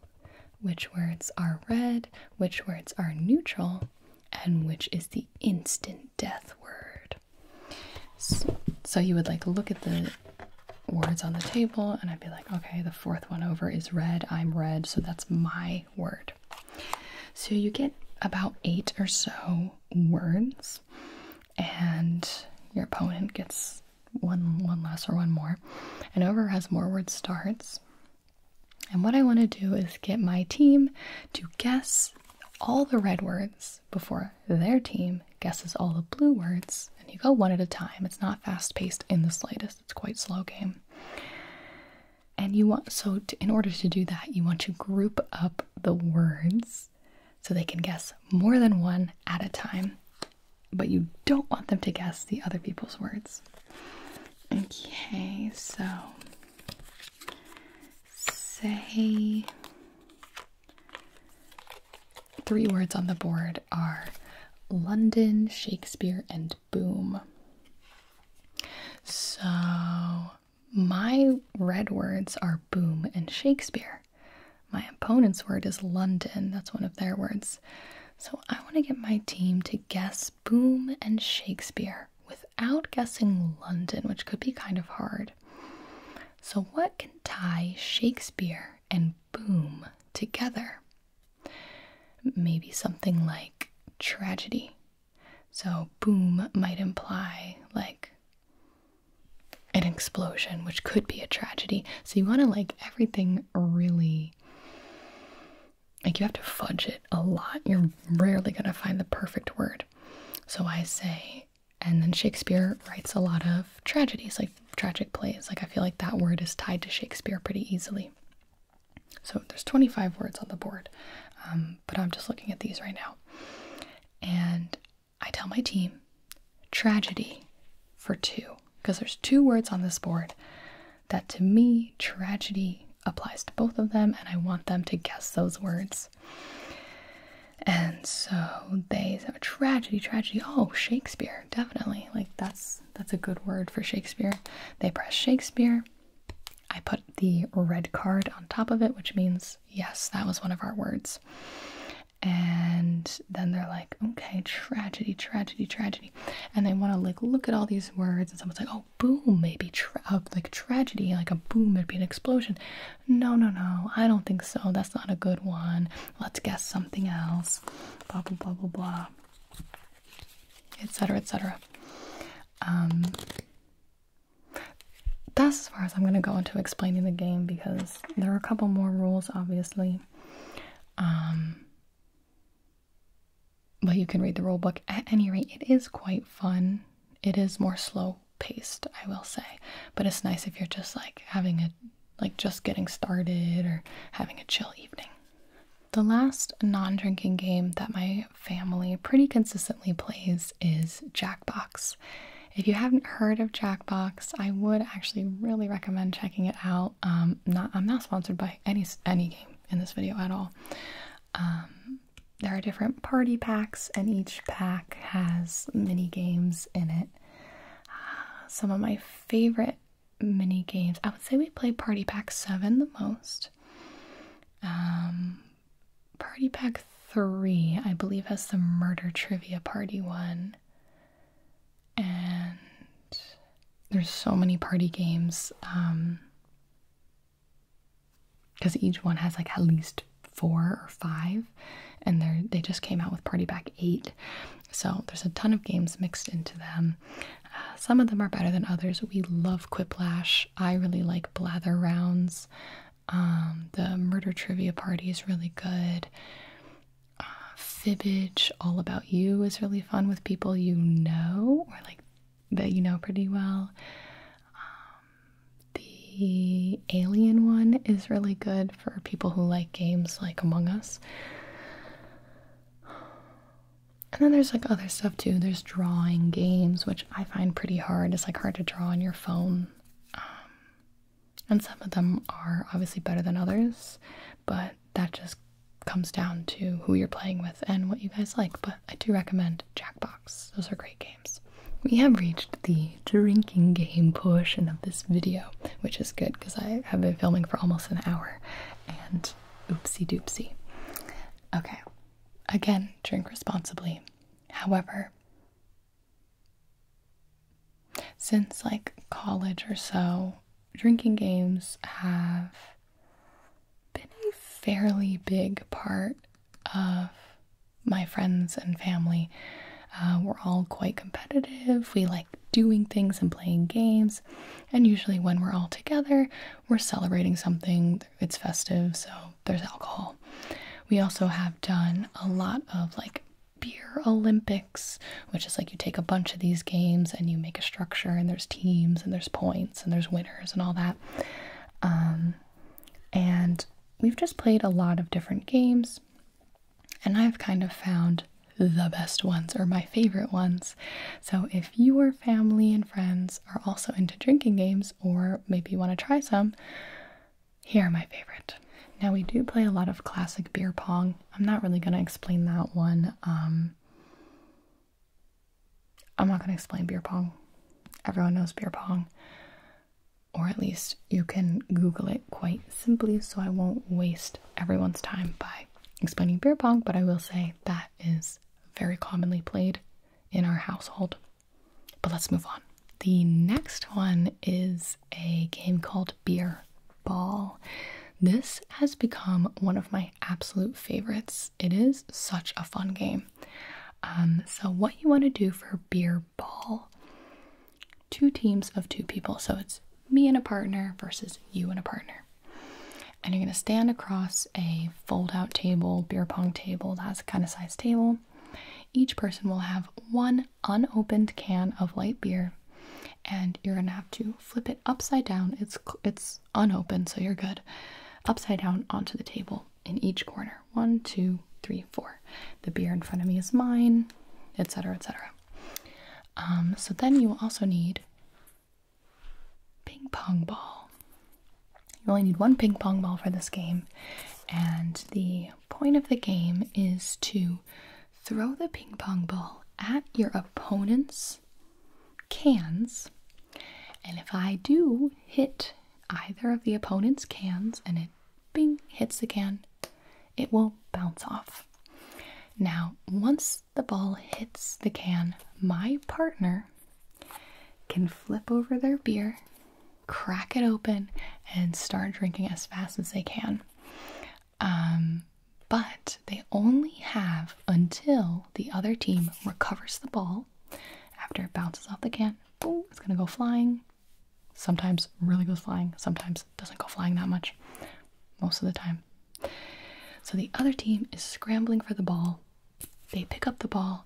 which words are red, which words are neutral, and which is the instant death word. So, so you would like look at the words on the table and I'd be like, okay, the fourth one over is red. I'm red, so that's my word. So you get about eight or so words and your opponent gets one one less or one more. And whoever has more words starts. And what I want to do is get my team to guess all the red words before their team guesses all the blue words. And you go one at a time. It's not fast paced in the slightest. It's quite slow game. And you want so in order to do that, you want to group up the words so they can guess more than one at a time, but you don't want them to guess the other people's words. Okay, so say three words on the board are London, Shakespeare, and boom. So my red words are boom and Shakespeare. My opponent's word is London. That's one of their words. So I want to get my team to guess boom and Shakespeare without guessing London, which could be kind of hard. So, what can tie Shakespeare and boom together? Maybe something like tragedy. So, boom might imply like an explosion, which could be a tragedy. So you want to like everything really. Like you have to fudge it a lot. You're rarely going to find the perfect word. So I say, and then Shakespeare writes a lot of tragedies, like tragic plays. Like I feel like that word is tied to Shakespeare pretty easily. So there's 25 words on the board, um, but I'm just looking at these right now. And I tell my team tragedy for two, because there's two words on this board that to me, tragedy applies to both of them, and I want them to guess those words. And so they say, tragedy, tragedy. Oh, Shakespeare, definitely. Like that's that's a good word for Shakespeare. They press Shakespeare. I put the red card on top of it, which means Yes, that was one of our words. And then they're like, okay, tragedy, tragedy, tragedy. And they want to like look at all these words, and someone's like, oh, boom, maybe tra uh, like tragedy, like a boom, it'd be an explosion. No, no, no, I don't think so. That's not a good one. Let's guess something else. Blah, blah, blah, blah, blah, etc., etc. Um, that's as far as I'm going to go into explaining the game because there are a couple more rules, obviously. Um, but you can read the rule book. At any rate, it is quite fun. It is more slow paced, I will say. But it's nice if you're just like having a, like just getting started or having a chill evening. The last non drinking game that my family pretty consistently plays is Jack. Jackbox. If you haven't heard of Jackbox, I would actually really recommend checking it out. Um, not I'm not sponsored by any any game in this video at all. Um, there are different party packs, and each pack has mini games in it. some of my favorite mini games. I would say we play Party Pack Seven the most. Um, Party Pack 3, I believe, has the murder trivia party one. And there's so many party games. because um, each one has like at least four or five and they just came out with party pack eight so there's a ton of games mixed into them uh, some of them are better than others we love quiplash i really like blather rounds um, the murder trivia party is really good. Uh, Fibbage, all about you, is really fun with people you know or like that you know pretty well. Um, the alien one is really good for people who like games like Among Us. And then there's like other stuff too. There's drawing games, which I find pretty hard. It's like hard to draw on your phone. Um, and some of them are obviously better than others, but that just comes down to who you're playing with and what you guys like. But I do recommend Jackbox, those are great games. We have reached the drinking game portion of this video, which is good because I have been filming for almost an hour and oopsie doopsie. Okay, again, drink responsibly. However, since like college or so, drinking games have been a fairly big part of my friends and family. Uh, we're all quite competitive. We like doing things and playing games. And usually, when we're all together, we're celebrating something. It's festive, so there's alcohol. We also have done a lot of like beer Olympics, which is like you take a bunch of these games and you make a structure, and there's teams, and there's points, and there's winners, and all that. Um, and we've just played a lot of different games, and I've kind of found the best ones or my favorite ones. So if your family and friends are also into drinking games, or maybe you want to try some, here are my favorite. Now, we do play a lot of classic beer pong. I'm not really going to explain that one. Um, I'm not going to explain beer pong. Everyone knows beer pong. Or at least you can Google it quite simply, so I won't waste everyone's time by explaining beer pong, but I will say that is very commonly played in our household. But let's move on. The next one is a game called Beer Ball. This has become one of my absolute favorites. It is such a fun game. Um, so, what you want to do for Beer Ball, two teams of two people. So, it's me and a partner versus you and a partner. And you're going to stand across a fold out table, beer pong table, that's kind of sized table. Each person will have one unopened can of light beer and you're gonna have to flip it upside down it's it's unopened so you're good upside down onto the table in each corner one two three four the beer in front of me is mine etc etc um, so then you will also need ping pong ball you only need one ping pong ball for this game and the point of the game is to throw the ping pong ball at your opponent's cans. And if I do hit either of the opponent's cans and it bing hits the can, it will bounce off. Now, once the ball hits the can, my partner can flip over their beer crack it open and start drinking as fast as they can. Um, but they only have until the other team recovers the ball after it bounces off the can. it's gonna go flying. Sometimes really goes flying, sometimes doesn't go flying that much, most of the time. So the other team is scrambling for the ball. They pick up the ball,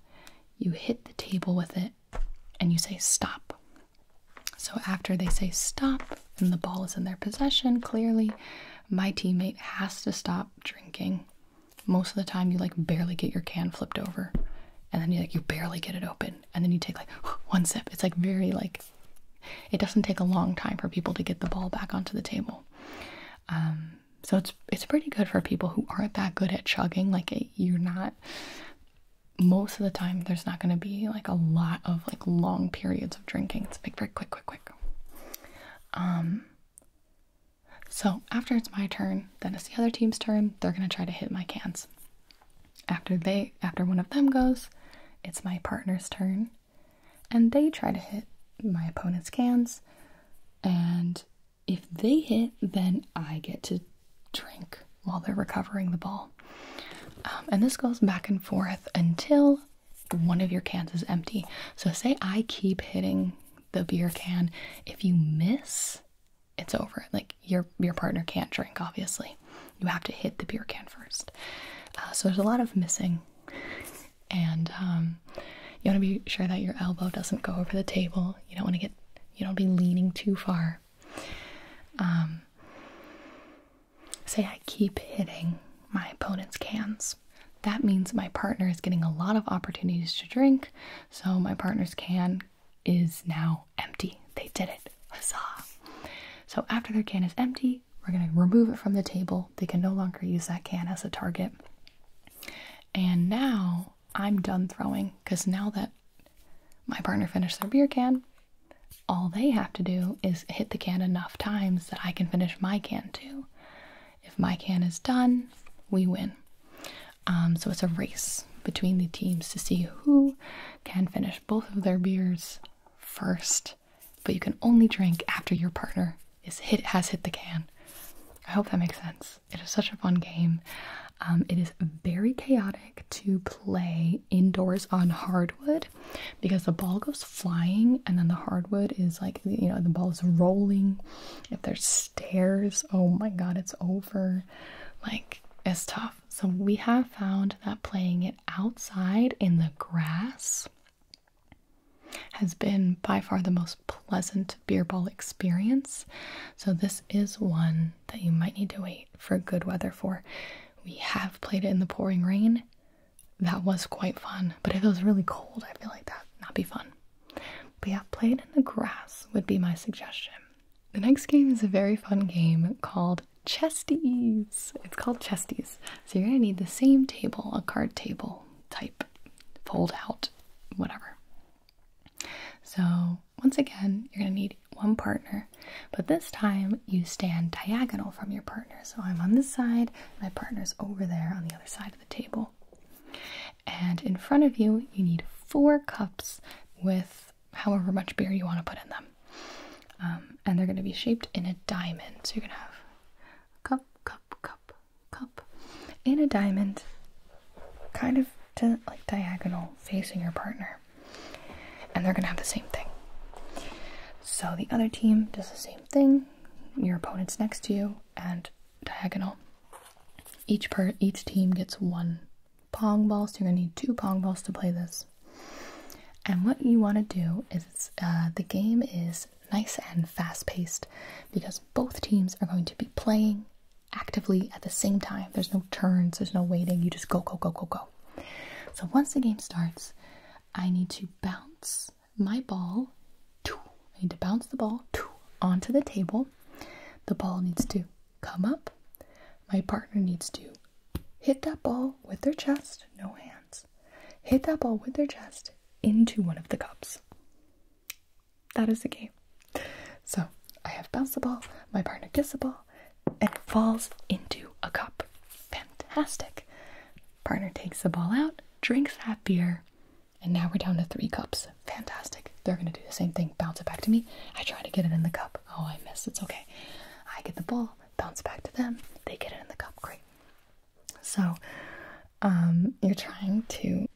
you hit the table with it, and you say stop. So after they say stop and the ball is in their possession, clearly my teammate has to stop drinking. Most of the time you like barely get your can flipped over and then you like you barely get it open and then you take like (gasps) one sip. It's like very like it doesn't take a long time for people to get the ball back onto the table. Um so it's it's pretty good for people who aren't that good at chugging like you're not most of the time there's not going to be like a lot of like long periods of drinking. It's like very quick, quick, quick. Um. So after it's my turn, then it's the other team's turn. They're going to try to hit my cans. After they, after one of them goes, it's my partner's turn, and they try to hit my opponent's cans. And if they hit, then I get to drink while they're recovering the ball. Um, and this goes back and forth until one of your cans is empty. So, say I keep hitting the beer can. If you miss, it's over. Like your your partner can't drink. Obviously, you have to hit the beer can first. Uh, so there's a lot of missing, and um, you want to be sure that your elbow doesn't go over the table. You don't want to get you don't be leaning too far um, say I keep hitting my opponent's cans. That means my partner is getting a lot of opportunities to drink, so my partner's can is now empty. They did it. Huzzah! So after their can is empty, we're going to remove it from the table. They can no longer use that can as a target. And now I'm done throwing because now that my partner finished their beer can, all they have to do is hit the can enough times that I can finish my can too. If my can is done, we win. Um, so it's a race between the teams to see who can finish both of their beers first. But you can only drink after your partner has hit the can. I hope that makes sense. It is such a fun game. Um, it is very chaotic to play indoors on hardwood because the ball goes flying and then the hardwood is like you know the ball is rolling if there's stairs oh my god it's over like it's tough so we have found that playing it outside in the grass has been by far the most pleasant beer ball experience so this is one that you might need to wait for good weather for. We have played it in the pouring rain. That was quite fun, but if it was really cold, I feel like that not be fun. But yeah, playing in the grass would be my suggestion. The next game is a very fun game called Chesties. It's called Chesties. So you're gonna need the same table, a card table type, fold out, whatever. So once again, you're gonna need one partner, but this time you stand diagonal from your partner. So I'm on this side, my partner's over there on the other side of the table. And in front of you, you need four cups with however much beer you want to put in them. Um, and they're going to be shaped in a diamond. So you're going to have a cup, cup, cup, cup in a diamond, kind of like diagonal facing your partner. And they're going to have the same thing. So the other team does the same thing. Your opponent's next to you and diagonal. Each per each team gets one pong ball, so you're going to need two pong balls to play this. And what you want to do is uh, the game is nice and fast paced because both teams are going to be playing actively at the same time. There's no turns, there's no waiting. You just go, go, go, go, go. So once the game starts, I need to bounce my ball. I need to bounce the ball onto the table. The ball needs to come up. My partner needs to hit that ball with their chest, no hands. Hit that ball with their chest into one of the cups. That is the game. So I have bounced the ball, my partner gets the ball, and it falls into a cup. Fantastic. Partner takes the ball out, drinks that beer, and now we're down to three cups. Fantastic. They're going to do the same thing, bounce it back to me. I try to get it in the cup. Oh, I missed. It's okay. I get the ball, bounce back to them. They get it in the cup. Great. So, um, you're trying to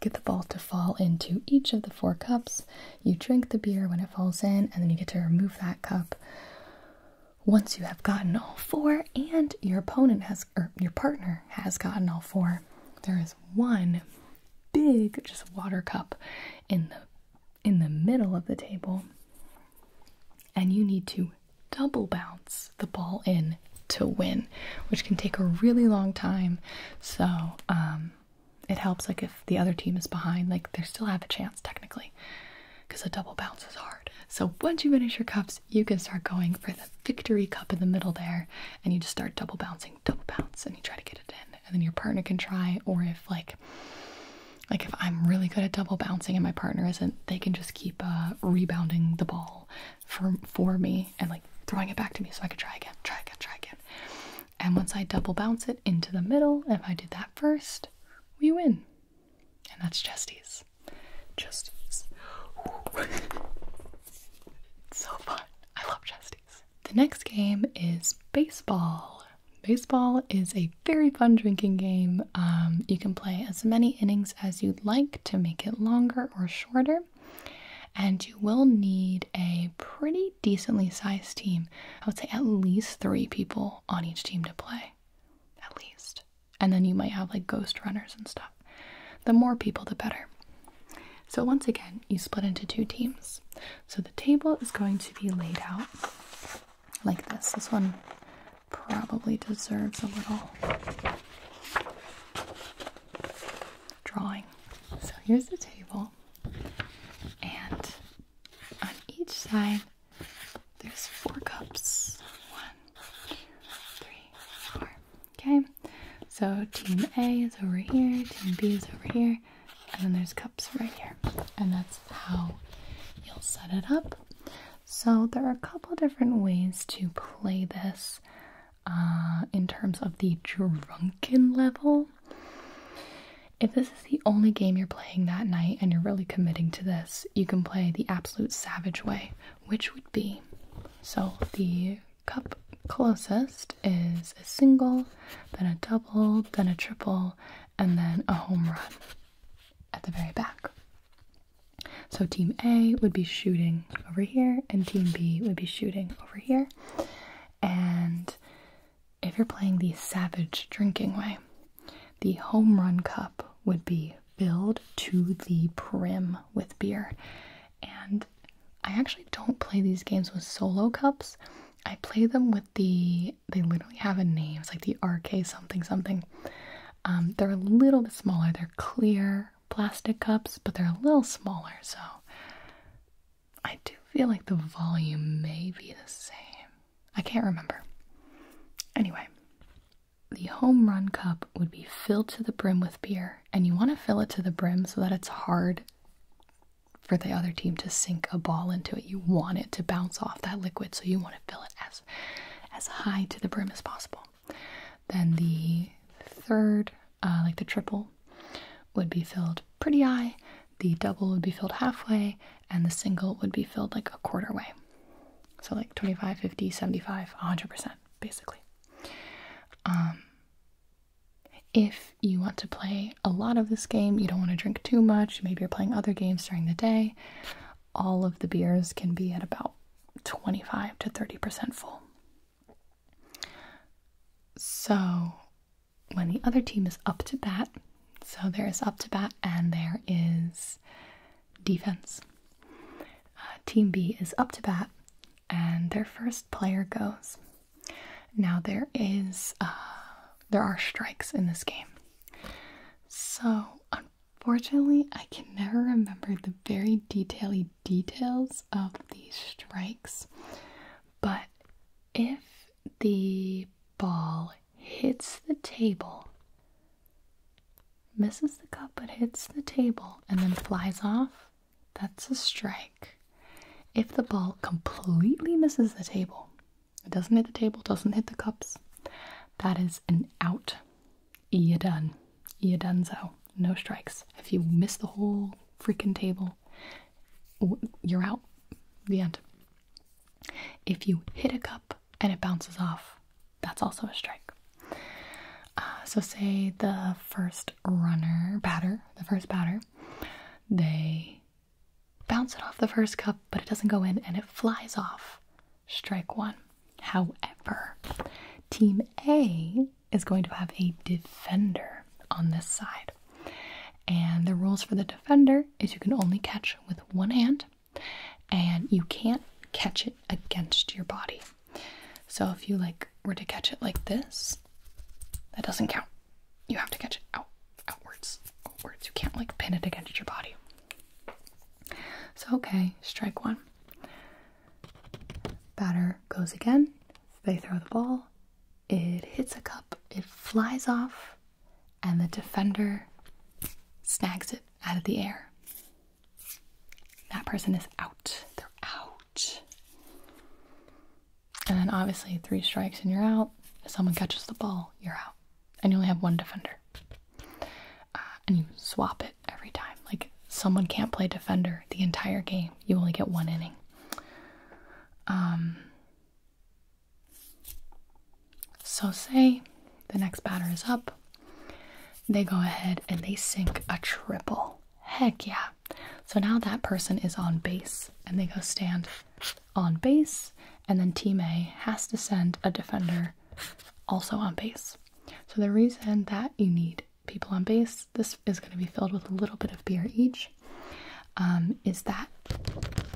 get the ball to fall into each of the four cups you drink the beer when it falls in, and then you get to remove that cup once you have gotten all four, and your opponent has, or your partner has gotten all four. There is one big just water cup in the in the middle of the table, and you need to double bounce the ball in to win, which can take a really long time. So um, it helps like if the other team is behind, like they still have a chance technically because a double bounce is hard. So once you finish your cups, you can start going for the victory cup in the middle there and you just start double bouncing, double bounce, and you try to get it in. And then your partner can try, or if like like if I'm really good at double bouncing and my partner isn't, they can just keep uh, rebounding the ball for for me and like throwing it back to me so I could try again, try again, try again. And once I double bounce it into the middle, if I did that first, we win. And that's chesties. Chesties. (laughs) so fun. I love chesties. The next game is baseball. Baseball is a very fun drinking game. Um, you can play as many innings as you'd like to make it longer or shorter. And you will need a pretty decently sized team. I would say at least three people on each team to play. At least. And then you might have like ghost runners and stuff. The more people, the better. So, once again, you split into two teams. So, the table is going to be laid out like this. This one probably deserves a little drawing. So, here's the table, and on each side, there's four cups. One, two, three, four. Okay, so team A is over here, team B is over here, and then there's cups right here. And that's how you'll set it up. So there are a couple different ways to play this uh, in terms of the drunken level. If this is the only game you're playing that night and you're really committing to this, you can play the absolute savage way, which would be so the cup closest is a single, then a double, then a triple, and then a home run at the very back. So team A would be shooting over here, and team B would be shooting over here. And if you're playing the savage drinking way, the home run cup would be filled to the brim with beer. And I actually don't play these games with solo cups. I play them with the, they literally have a name. It's like the RK something something. Um, they're a little bit smaller. They're clear plastic cups, but they're a little smaller. So I do feel like the volume may be the same. I can't remember. Anyway, the home run cup would be filled to the brim with beer, and you want to fill it to the brim so that it's hard for the other team to sink a ball into it. You want it to bounce off that liquid, so you want to fill it as as high to the brim as possible. Then the third, uh, like the triple, would be filled pretty high the double would be filled halfway and the single would be filled like a quarter way. So like 25, 50, 75, 100% basically. Um, if you want to play a lot of this game, you don't want to drink too much, maybe you're playing other games during the day, all of the beers can be at about 25 to 30% full. So when the other team is up to bat, so there's up to bat and there is defense. Uh, team B is up to bat and their first player goes. Now there is uh, there are strikes in this game. So unfortunately, I can never remember the very detailed details of these strikes. But if the ball hits the table, misses the cup but hits the table, and then flies off, that's a strike. If the ball completely misses the table, it doesn't hit the table, doesn't hit the cups, that is an out. You're done. You're done, so no strikes. If you miss the whole freaking table, you're out. The end. If you hit a cup and it bounces off, that's also a strike. Uh, so, say the first runner, batter, the first batter, they bounce it off the first cup, but it doesn't go in and it flies off. Strike one. However, Team A is going to have a defender on this side. And the rules for the defender is you can only catch with one hand and you can't catch it against your body. So if you like were to catch it like this, that doesn't count. You have to catch it out outwards. Outwards. You can't like pin it against your body. So okay, strike one. Batter goes again. They throw the ball. It hits a cup. It flies off and the defender snags it out of the air. That person is out. They're out. And then obviously, three strikes and you're out. If someone catches the ball, you're out. And you only have one defender. Uh, and you swap it every time. Like, someone can't play defender the entire game. You only get one inning. Um, so, say the next batter is up, they go ahead and they sink a triple. Heck yeah. So now that person is on base and they go stand on base, and then team A has to send a defender also on base. So, the reason that you need people on base, this is going to be filled with a little bit of beer each, um, is that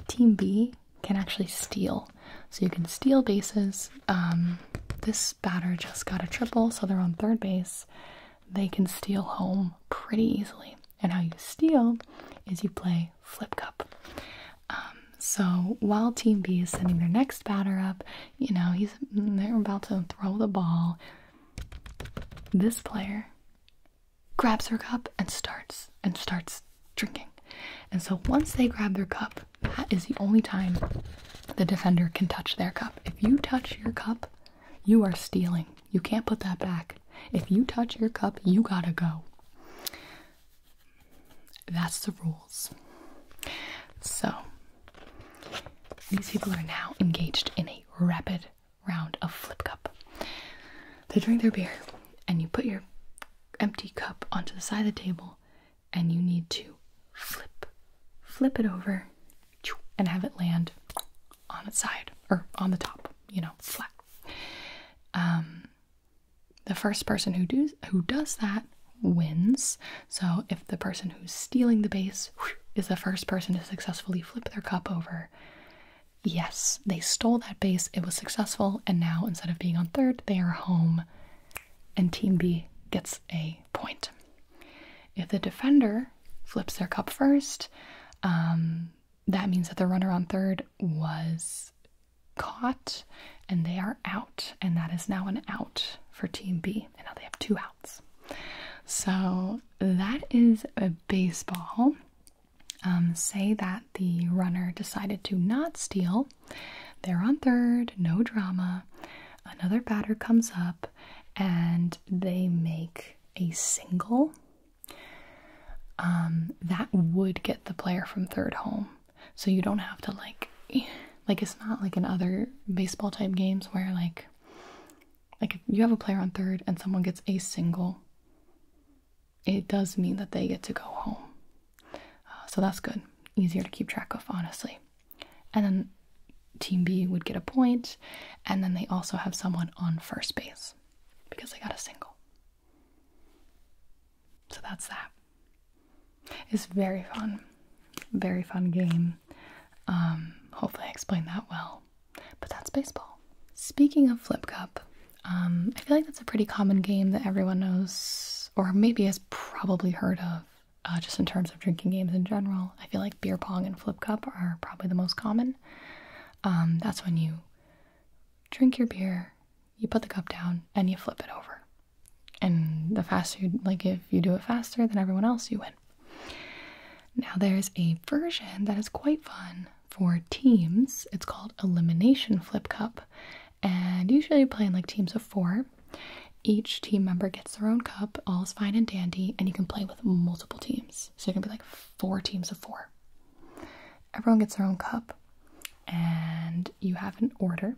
Team B can actually steal. So you can steal bases. Um, this batter just got a triple, so they're on third base. They can steal home pretty easily. And how you steal is you play flip cup. Um, so while Team B is sending their next batter up, you know he's they're about to throw the ball. This player grabs her cup and starts and starts drinking. And so once they grab their cup, that is the only time the defender can touch their cup. If you touch your cup, you are stealing. You can't put that back. If you touch your cup, you gotta go. That's the rules. So, these people are now engaged in a rapid round of flip cup. They drink their beer, and you put your empty cup onto the side of the table and you need to flip flip it over and have it land on its side or on the top, you know, flat. Um, the first person who does who does that wins. So if the person who's stealing the base is the first person to successfully flip their cup over, yes, they stole that base. It was successful, and now instead of being on third, they are home and Team B gets a point. If the defender flips their cup first, um, that means that the runner on third was caught and they are out, and that is now an out for Team B, and now they have two outs. So that is a baseball. Um, say that the runner decided to not steal they're on third, no drama. Another batter comes up and they make a single. Um, that would get the player from third home. So you don't have to like (laughs) like it's not like in other baseball type games where like like if you have a player on third and someone gets a single it does mean that they get to go home. Uh, so that's good. Easier to keep track of, honestly. And then Team B would get a point, and then they also have someone on first base because they got a single. So that's that. It's very fun, very fun game. Um, hopefully, I explained that well. But that's baseball. Speaking of Flip Cup, um, I feel like that's a pretty common game that everyone knows, or maybe probably heard of, uh, just in terms of drinking games in general. I feel like beer pong and flip cup are probably the most common. Um, that's when you drink your beer, you put the cup down, and you flip it over. And the faster, you, like if you do it faster than everyone else, you win. Now there's a version that is quite fun for teams. It's called Elimination Flip Cup, and usually you play in like teams of four. Each team member gets their own cup, all's fine and dandy, and you can play with multiple teams. So you can be like four teams of four. Everyone gets their own cup, and you have an order.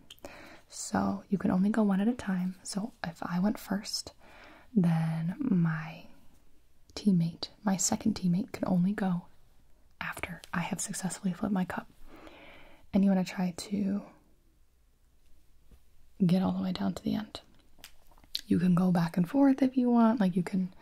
So you can only go one at a time. So if I went first, then my teammate, my second teammate, can only go after I have successfully flipped my cup. And you want to try to get all the way down to the end. You can go back and forth if you want, like you can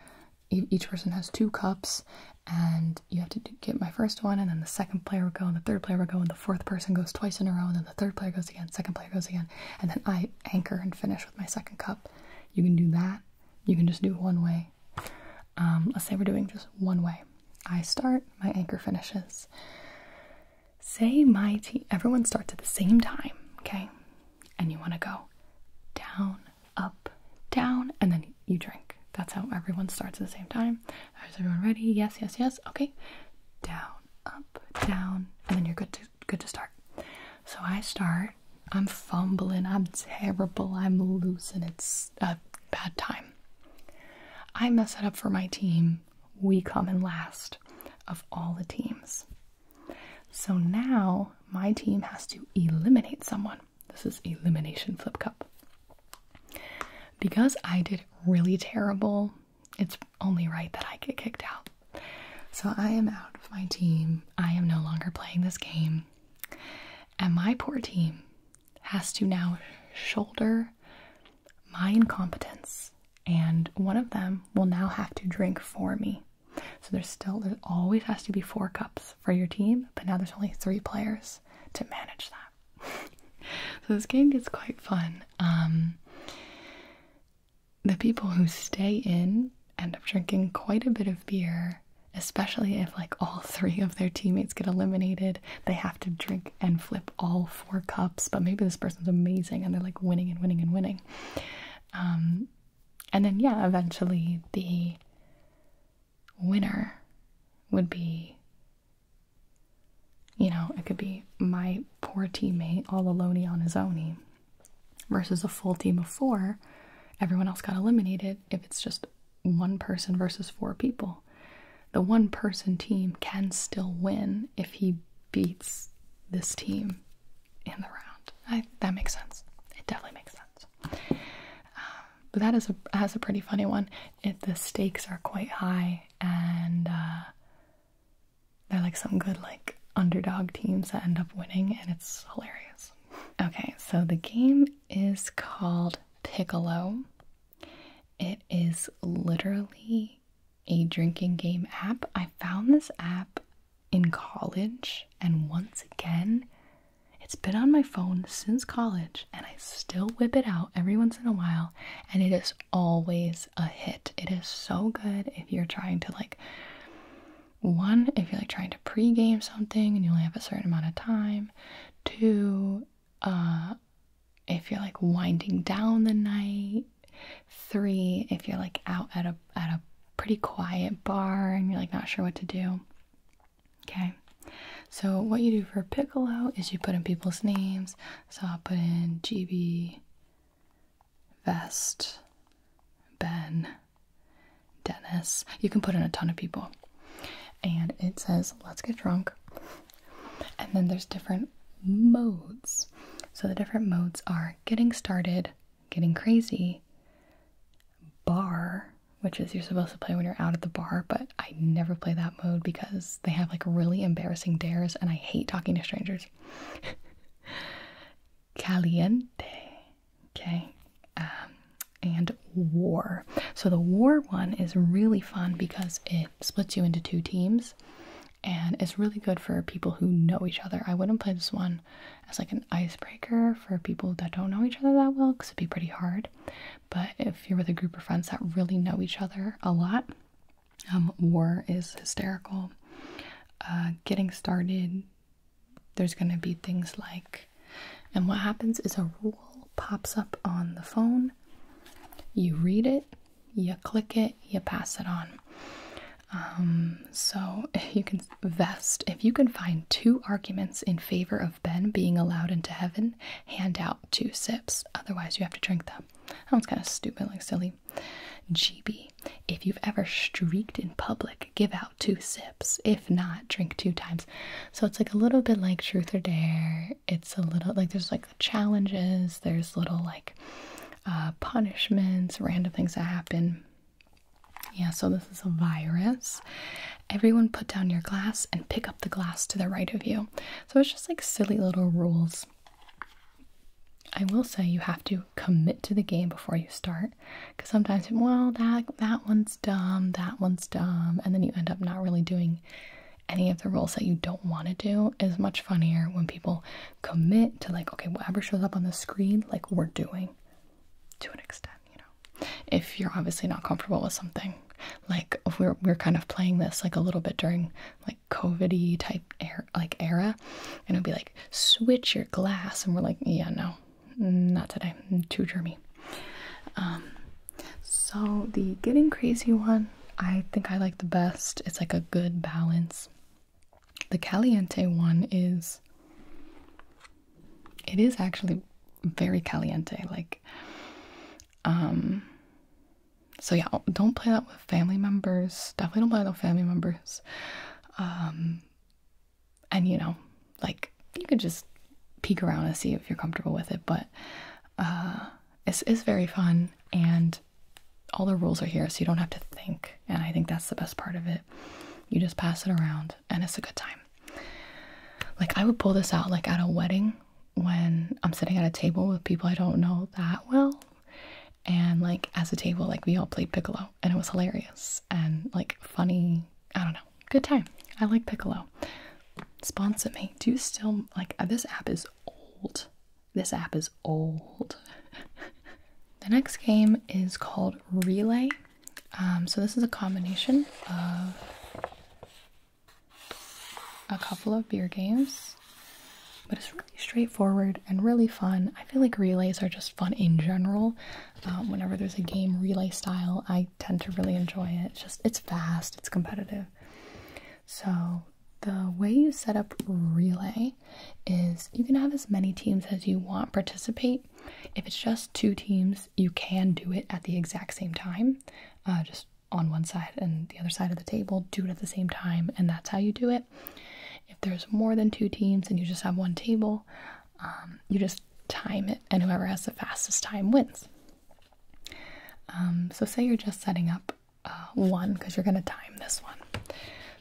each person has two cups and you have to get my first one and then the second player will go and the third player will go and the fourth person goes twice in a row and then the third player goes again second player goes again and then i anchor and finish with my second cup you can do that you can just do one way um, let's say we're doing just one way. I start, my anchor finishes. Say my T, everyone starts at the same time, okay? And you want to go down, up, down, and then you drink. That's how everyone starts at the same time. Is everyone ready? Yes, yes, yes. Okay. Down, up, down, and then you're good to good to start. So I start. I'm fumbling. I'm terrible. I'm losing. It's a bad time. I mess it up for my team. We come in last of all the teams. So now my team has to eliminate someone. This is elimination flip cup. Because I did really terrible, it's only right that I get kicked out. So I am out of my team. I am no longer playing this game. And my poor team has to now shoulder my incompetence, and one of them will now have to drink for me. So there's still, there always has to be four cups for your team, but now there's only three players to manage that. (laughs) so this game gets quite fun. Um, the people who stay in end up drinking quite a bit of beer especially if like all (laughs) three of their teammates get eliminated they have to drink and flip all four cups, but maybe this person's amazing and they're like winning and winning and winning. Um, and then, yeah, eventually the winner would be you know, it could be my poor teammate all alone on his owny versus a full team of four. Everyone else got eliminated if it's just one person versus four people. The one person team can still win if he beats this team in the round. that makes sense. It definitely makes sense. Um, but that is a that's a pretty funny one. If the stakes are quite high and uh, they're like some good like underdog teams that end up winning, and it's hilarious. Okay, so the game is called Piccolo. It is literally a drinking game app. I found this app in college, and once again, it's been on my phone since college, and I still whip it out every once in a while, and it is always a hit. It is so good if you're trying to like one, if you're like trying to pregame something and you only have a certain amount of time, two, uh, if you're like winding down the night. Three, if you're like out at a at a pretty quiet bar and you're like not sure what to do. Okay. So what you do for piccolo is you put in people's names. So I'll put in GB Vest Ben Dennis. You can put in a ton of people. And it says, let's get drunk. And then there's different modes. So the different modes are getting started, getting crazy, bar, which is you're supposed to play when you're out at the bar, but I never play that mode because they have like really embarrassing dares and I hate talking to strangers. (laughs) Caliente, okay, um, and war. So the war one is really fun because it splits you into two teams and it's really good for people who know each other. I wouldn't play this one as like an icebreaker for people that don't know each other that well because it'd be pretty hard. But if you're with a group of friends that really know each other a lot, um, war is hysterical. Uh, getting started, there's going to be things like, and what happens is a rule pops up on the phone you read it, you click it, you pass it on. Um, so if (laughs) you can vest, if you can find two arguments in favor of Ben being allowed into heaven, hand out two sips. Otherwise, you have to drink them. That one's kind of stupidly silly. GB. If you've ever streaked in public, give out two sips. If not, drink two times. So it's like a little bit like truth or dare it's a little like there's like the challenges, there's little like uh, punishments, random things that happen. Yeah, so this is a virus. Everyone put down your glass and pick up the glass to the right of you. So it's just like silly little rules. I will say you have to commit to the game before you start because sometimes, well, that that one's dumb, that one's dumb, and then you end up not really doing any of the roles that you don't want to do is much funnier when people commit to like okay whatever shows up on the screen like we're doing to an extent you know if you're obviously not comfortable with something like we're, we're kind of playing this like a little bit during like covid type like era and it'd be like switch your glass and we're like yeah no not today too germy um, so the getting crazy one, I think I like the best. It's like a good balance. The caliente one is it is actually very caliente like um so yeah, don't play that with family members. Definitely don't play that with family members. Um and you know, like you can just peek around and see if you're comfortable with it, but uh it's is very fun and all the rules are here so you don't have to think and i think that's the best part of it you just pass it around and it's a good time like i would pull this out like at a wedding when i'm sitting at a table with people i don't know that well and like as a table like we all played piccolo and it was hilarious and like funny i don't know good time i like piccolo sponsor me do you still like this app is old. This app is old. (laughs) the next game is called Relay. Um, so, this is a combination of a couple of beer games, but it's really straightforward and really fun. I feel like relays are just fun in general. Um, whenever there's a game relay style, I tend to really enjoy it. just it's fast, it's competitive. So the way you set up relay is you can have as many teams as you want participate. If it's just two teams, you can do it at the exact same time, uh, just on one side and the other side of the table, do it at the same time, and that's how you do it. If there's more than two teams and you just have one table, um, you just time it, and whoever has the fastest time wins. Um, so, say you're just setting up uh, one because you're going to time this one.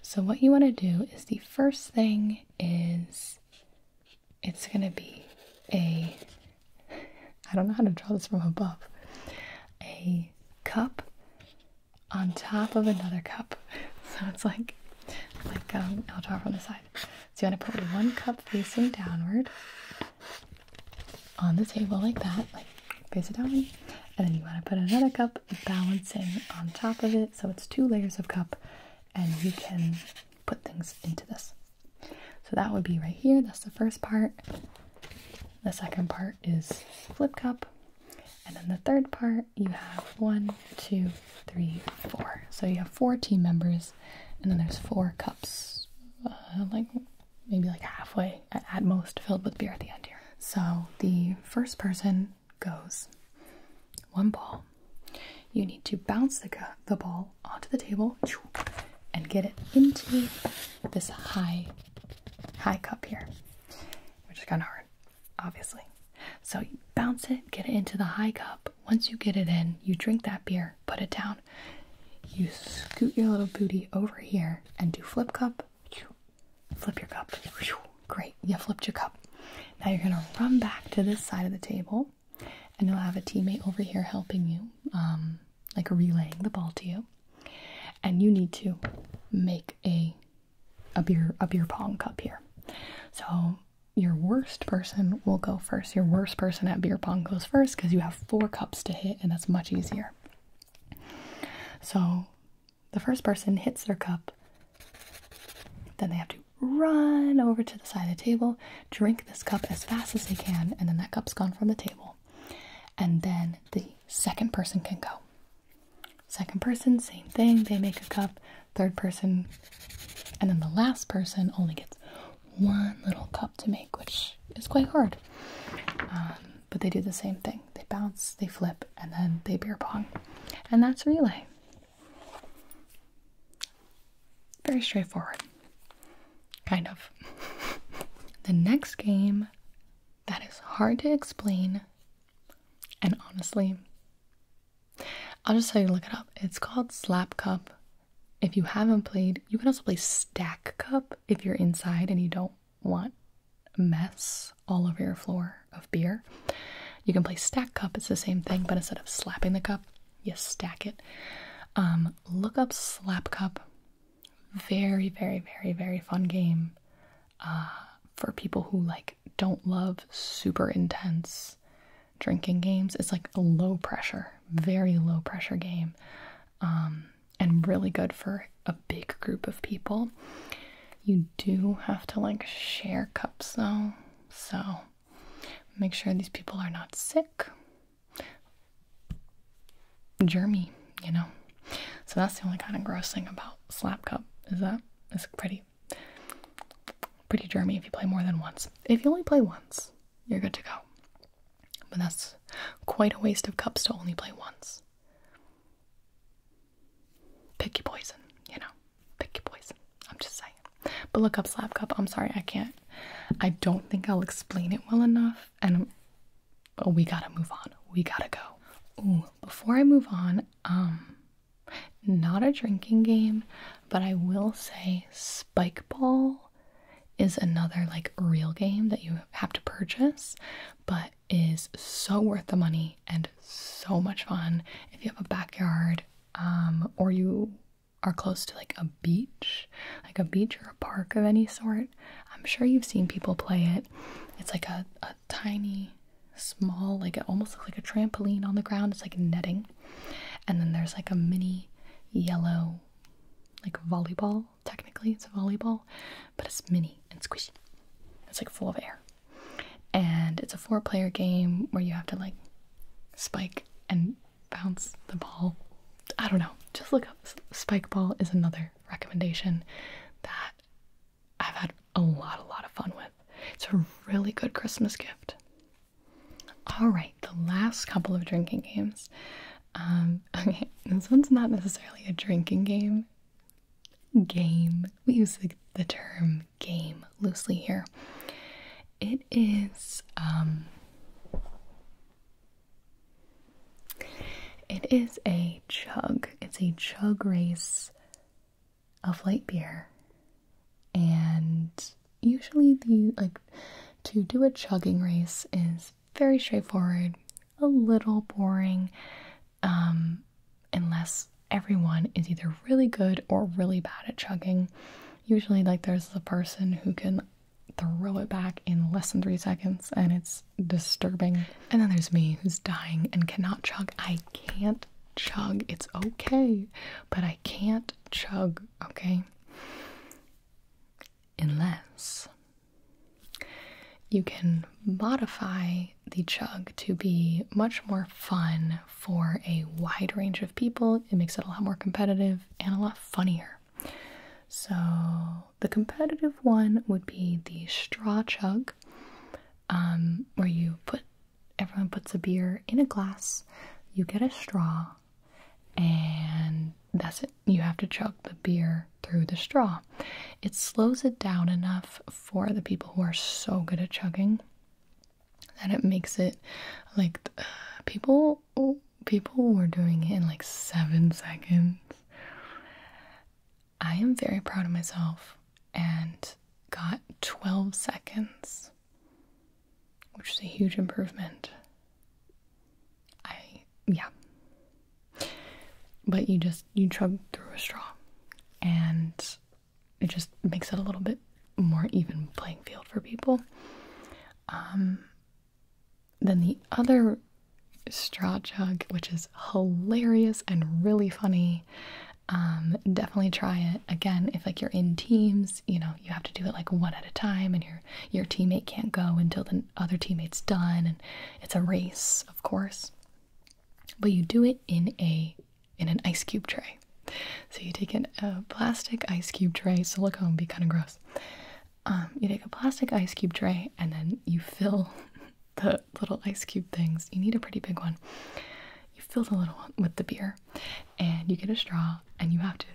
So, what you want to do is the first thing is it's going to be a (laughs) I don't know how to draw this from above a cup on top of another cup. (laughs) So, it's like, like um, I'll draw from the side. So, you want to put one cup facing downward on the table like that, like face it down, and then you want to put another cup balancing on top of it, so it's two layers of cup, and you can put things into this. So that would be right here. That's the first part. The second part is flip cup. And then the third part, you have one, two, three, four. So you have four team members, and then there's four cups, uh, like maybe like halfway at most filled with beer at the end here. So the first person goes one ball. You need to bounce the, the ball onto the table and get it into this high high cup here, which is kind of hard, obviously. So you bounce it, get it into the high cup. Once you get it in, you drink that beer, put it down. You scoot your little booty over here and do flip cup. Flip your cup. Great, you flipped your cup. Now you're gonna run back to this side of the table, and you'll have a teammate over here helping you, um, like relaying the ball to you. And you need to make a a beer a beer pong cup here. So your worst person will go first. Your worst person at beer pong goes first because you have four cups to hit, and that's much easier. So the first person hits their cup, then they have to run over to the side of the table, drink this cup as fast as they can, and then that cup's gone from the table. And then the second person can go. Second person, same thing, they make a cup. Third person, and then the last person only gets one little cup to make, which it's quite hard. Um, but they do the same thing they bounce, they flip, and then they beer pong. And that's relay. Very straightforward. Kind of. (laughs) the next game that is hard to explain, and honestly, I'll just tell you to look it up. It's called Slap Cup. If you haven't played, you can also play Stack Cup if you're inside and you don't want mess all over your floor of beer. You can play stack cup, it's the same thing, but instead of slapping the cup, you stack it. Um, look up slap cup. Very, very, very, very fun game uh, for people who like don't love super intense drinking games. It's like a low pressure, very low pressure game. Um, and really good for a big group of people. You do have to like share cups though, so make sure these people are not sick, germy, you know. So that's the only kind of gross thing about slap cup is that it's pretty, pretty germy if you play more than once. If you only play once, you're good to go. But that's quite a waste of cups to only play once. Pick your poison, you know. Pick your poison. I'm just saying. But look up slap cup. I'm sorry, I can't. I don't think I'll explain it well enough. And but we gotta move on. We gotta go. Ooh, before I move on, um, not a drinking game, but I will say spike ball is another like real game that you have to purchase, but is so worth the money and so much fun. If you have a backyard um, or you are close to like a beach, like a beach or a park of any sort, I'm sure you've seen people play it. It's like a, a tiny, small, like it almost looks like a trampoline on the ground. It's like netting. And then there's like a mini yellow, like volleyball Technically, it's a volleyball, but it's mini and squishy. It's like full of air. And it's a four player game where you have to like spike and bounce the ball. I don't know. Just look up. Spike ball is another recommendation that I've had a lot, a lot of fun with. It's a really good Christmas gift. All right, the last couple of drinking games. Um, (laughs) okay, this one's not necessarily a drinking game game. We use the, term game loosely here. It is um it is a chug. It's a chug race of light beer. And usually the like to do a chugging race is very straightforward, a little boring, um, unless everyone is either really good or really bad at chugging. Usually, like, there's the person who can throw it back in less than three seconds, and it's disturbing. And then there's me who's dying and cannot chug. I can't chug. It's okay, but I can't chug, okay? Unless you can modify the chug to be much more fun for a wide range of people. It makes it a lot more competitive and a lot funnier. So, the competitive one would be the straw chug, um, where you put everyone puts a beer in a glass, you get a straw, and that's it you have to chug the beer through the straw. It slows it down enough for the people who are so good at chugging that it makes it like uh, people people were doing it in like 7 seconds. I am very proud of myself and got 12 seconds, which is a huge improvement. I yeah. But you just you chug through a straw, and it just makes it a little bit more even playing field for people. Um, then the other straw jug, which is hilarious and really funny. Um, definitely try it again. If like you're in teams, you know you have to do it like one at a time, and your your teammate can't go until the other teammate's done, and it's a race, of course but you do it in a in an ice cube tray. So you take a plastic ice cube tray. Silicone be kind of gross. Um, you take a plastic ice cube tray and then you fill (laughs) the little ice cube things. You need a pretty big one. You fill the little one with the beer, and you get a straw, and you have to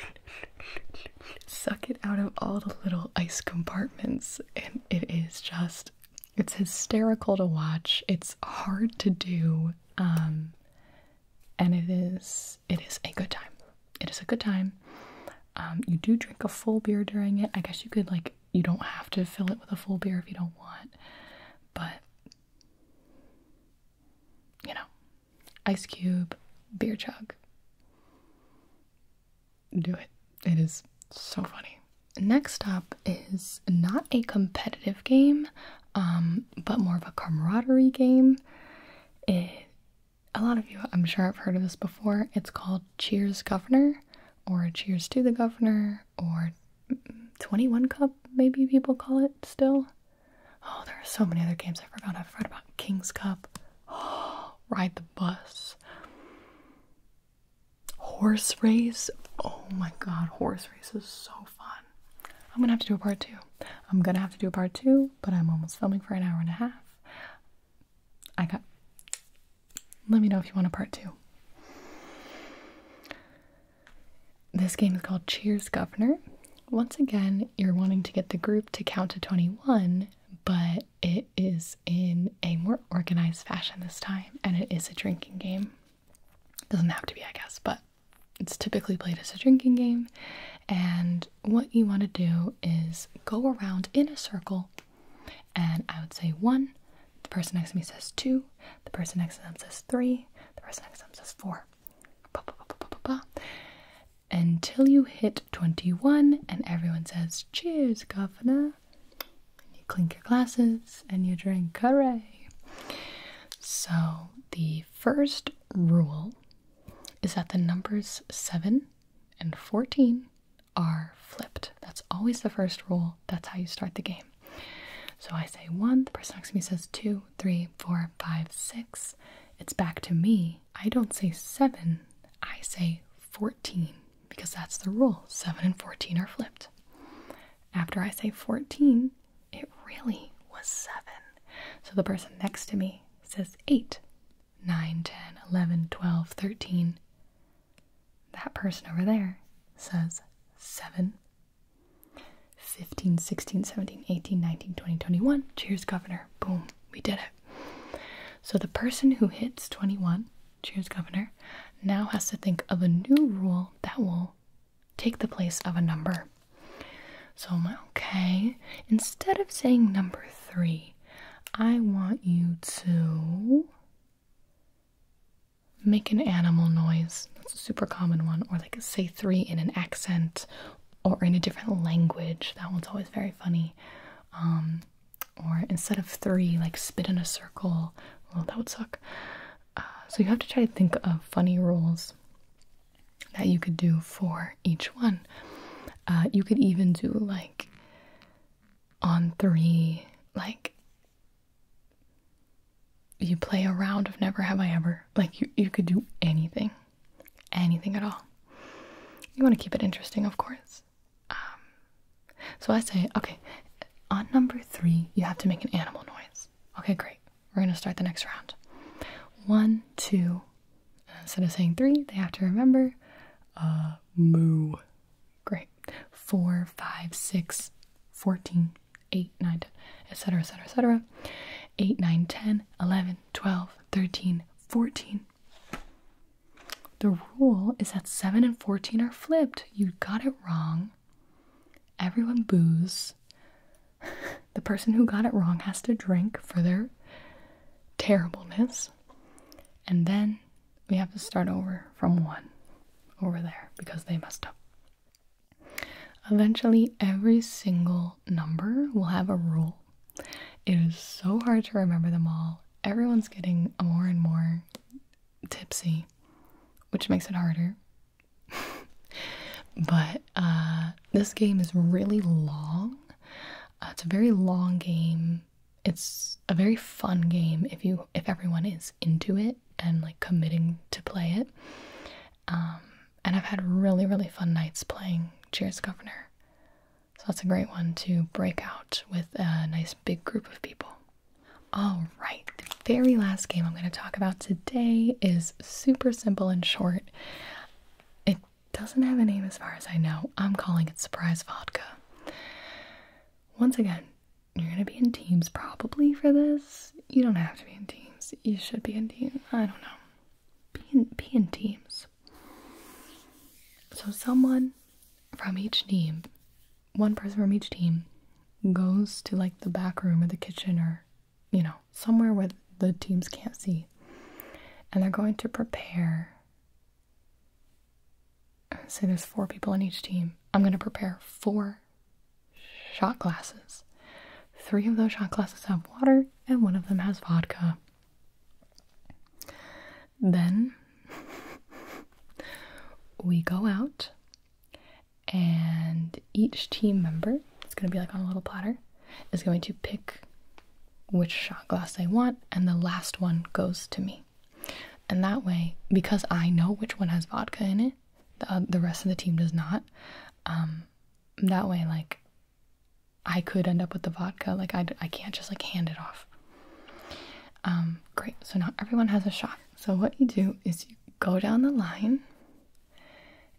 (laughs) suck it out of all the little ice compartments it is just it's hysterical to watch. It's hard to do um and it is it is a good time. It is a good time. Um you do drink a full beer during it. I guess you could like you don't have to fill it with a full beer if you don't want. But you know, ice cube, beer chug do it. It is so funny. Next up is not a competitive game, um, but more of a camaraderie game. a lot of you, I'm sure, have heard of this before. It's called Cheers Governor, or Cheers to the Governor, or 21 Cup, maybe people call it still. Oh, there are so many other games I forgot. I've read about King's Cup, (gasps) Ride the Bus. Horse race? Oh my god, horse race is so fun. I'm gonna have to do a part two. I'm gonna have to do a part two, but I'm almost filming for an hour and a half. I got. Let me know if you want a part two. This game is called Cheers Governor. Once again, you're wanting to get the group to count to 21, but it is in a more organized fashion this time, and it is a drinking game. Doesn't have to be, I guess, but it's typically played as a drinking game. And what you want to do is go around in a circle, and I would say one. The person next to me says two. The person next to them says three. The person next to them says four. Until you hit 21 and everyone says, Cheers, Governor and you clink your glasses, and you drink. Hooray! So, the first rule is that the numbers 7 and 14 are flipped. That's always the first rule. That's how you start the game. So I say 1, the person next to me says 2, 3, 4, 5, 6. It's back to me. I don't say 7, I say 14 because that's the rule. 7 and 14 are flipped. After I say 14, it really was 7. So the person next to me says 8, 9, 10, 11, 12, 13. That person over there says 7, 15, 16, 17, 18, 19, 20, 21. Cheers, Governor. Boom. We did it. So the person who hits 21, cheers, governor, now has to think of a new rule that will take the place of a number. So, okay, instead of saying number three, I want you to make an animal noise. That's a super common one. Or, like, say three in an accent or in a different language. That one's always very funny. Um, or instead of three, like spit in a circle. Well, that would suck. Uh, so you have to try to think of funny rules that you could do for each one. Uh, you could even do like on three, like you play a round of Never Have I Ever. Like you, you could do anything, anything at all. You want to keep it interesting, of course. Um, so I say, okay, on number three, you have to make an animal noise. Okay, great. We're going to start the next round. One, two. Instead of saying three, they have to remember uh, moo. Great. Four, five, six, 9, etc., etc., etc. 8, eleven, twelve, thirteen, fourteen. The rule is that 7 and 14 are flipped. You got it wrong. Everyone boos. (laughs) the person who got it wrong has to drink for their terribleness. And then we have to start over from 1 over there because they messed up. Eventually, every single number will have a rule. It is so hard to remember them all. Everyone's getting more and more tipsy, which makes it harder. (laughs) but uh, this game is really long. Uh, it's a very long game. It's a very fun game if you if everyone is into it and like committing to play it. Um, and I've had really really fun nights playing Cheers Governor. So that's a great one to break out with a nice big group of people. All right, the very last game I'm going to talk about today is super simple and short. It doesn't have a name as far as I know. I'm calling it Surprise Vodka. Once again, you're going to be in teams probably for this. You don't have to be in teams. You should be in teams. I don't know. Be in, be in teams. So, someone from each team one person from each team goes to like the back room or the kitchen or you know somewhere where the teams can't see and they're going to prepare say there's four people in each team i'm going to prepare four shot glasses three of those shot glasses have water and one of them has vodka then we go out, and each team member, it's going to be like on a little platter, is going to pick which shot glass they want, and the last one goes to me. And that way, because I know which one has vodka in it, the, the rest of the team does not. Um, that way, like, I could end up with the vodka. Like, I, I can't just like hand it off. Um, great, so now everyone has a shot. So, what you do is you go down the line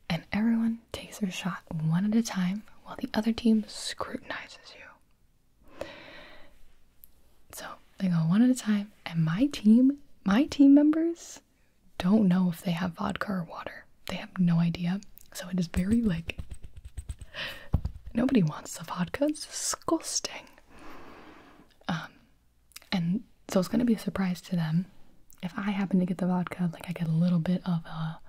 and everyone takes their shot one at a time while the other team scrutinizes you. So, they go one at a time, and my team, my team members, don't know if they have vodka or water. They have no idea. So, it is very like nobody wants the vodka. It's disgusting. Um, and so it's gonna be a surprise to them. If I happen to get the vodka, like I get a little bit of a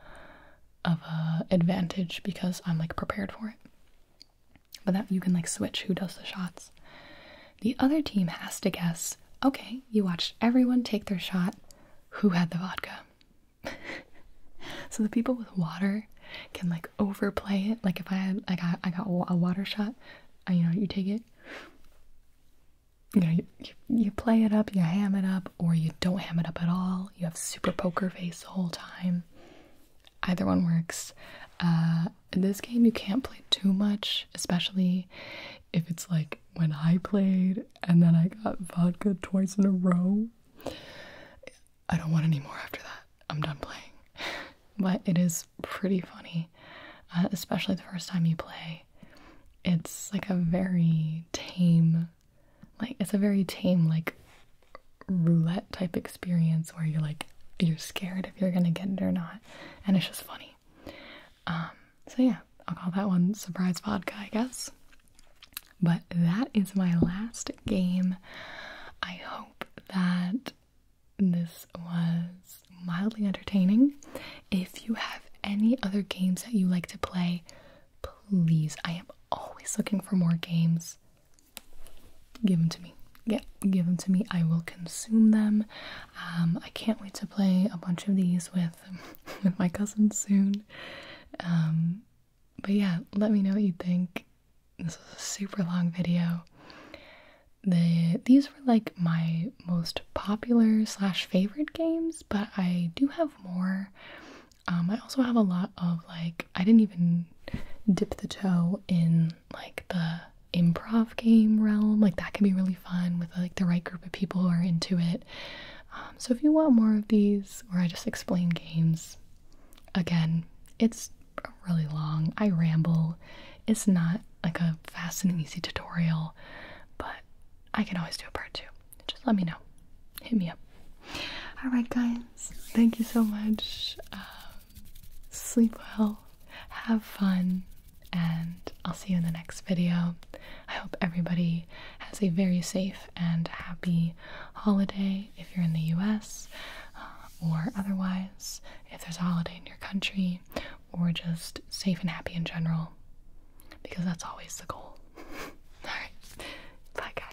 of a advantage because I'm like prepared for it. But that you can like switch who does the shots. The other team has to guess, okay, you watched everyone take their shot, who had the vodka? (laughs) so the people with water can like overplay it. Like if I had, like I, I got a water shot, you know, you take it, you know, you, you, play it up, you ham it up, or you don't ham it up at all. You have super poker face the whole time. Either one works. Uh, this game, you can't play too much, especially if it's like when I played and then I got vodka twice in a row. I don't want any more after that. I'm done playing. (laughs) but it is pretty funny, uh, especially the first time you play. It's like a very tame, like, it's a very tame, like, roulette type experience where you're like, you're scared if you're gonna get it or not. And it's just funny. Um, so yeah, I'll call that one surprise vodka, I guess. But that is my last game. I hope that this was mildly entertaining. If you have any other games that you like to play, please, I am always looking for more games. Give them to me. Yeah, give them to me. I will consume them. Um, I can't wait to play a bunch of these with (laughs) with my cousins soon. Um, but yeah, let me know what you think this is a super long video. The these were like my most popular slash favorite games, but I do have more. Um, I also have a lot of like I didn't even dip the toe in like the improv game realm. Like that can be really fun with like the right group of people who are into it. Um, so if you want more of these where I just explain games, again, it's really long. I ramble. It's not like a fast and easy tutorial, but I can always do a part two. Just let me know. Hit me up. Alright, guys. Thank you so much. Um, sleep well, have fun, and I'll see you in the next video. I hope everybody has a very safe and happy holiday if you're in the US uh, or otherwise, if there's a holiday in your country, or just safe and happy in general, because that's always the goal. (laughs) Alright, bye guys.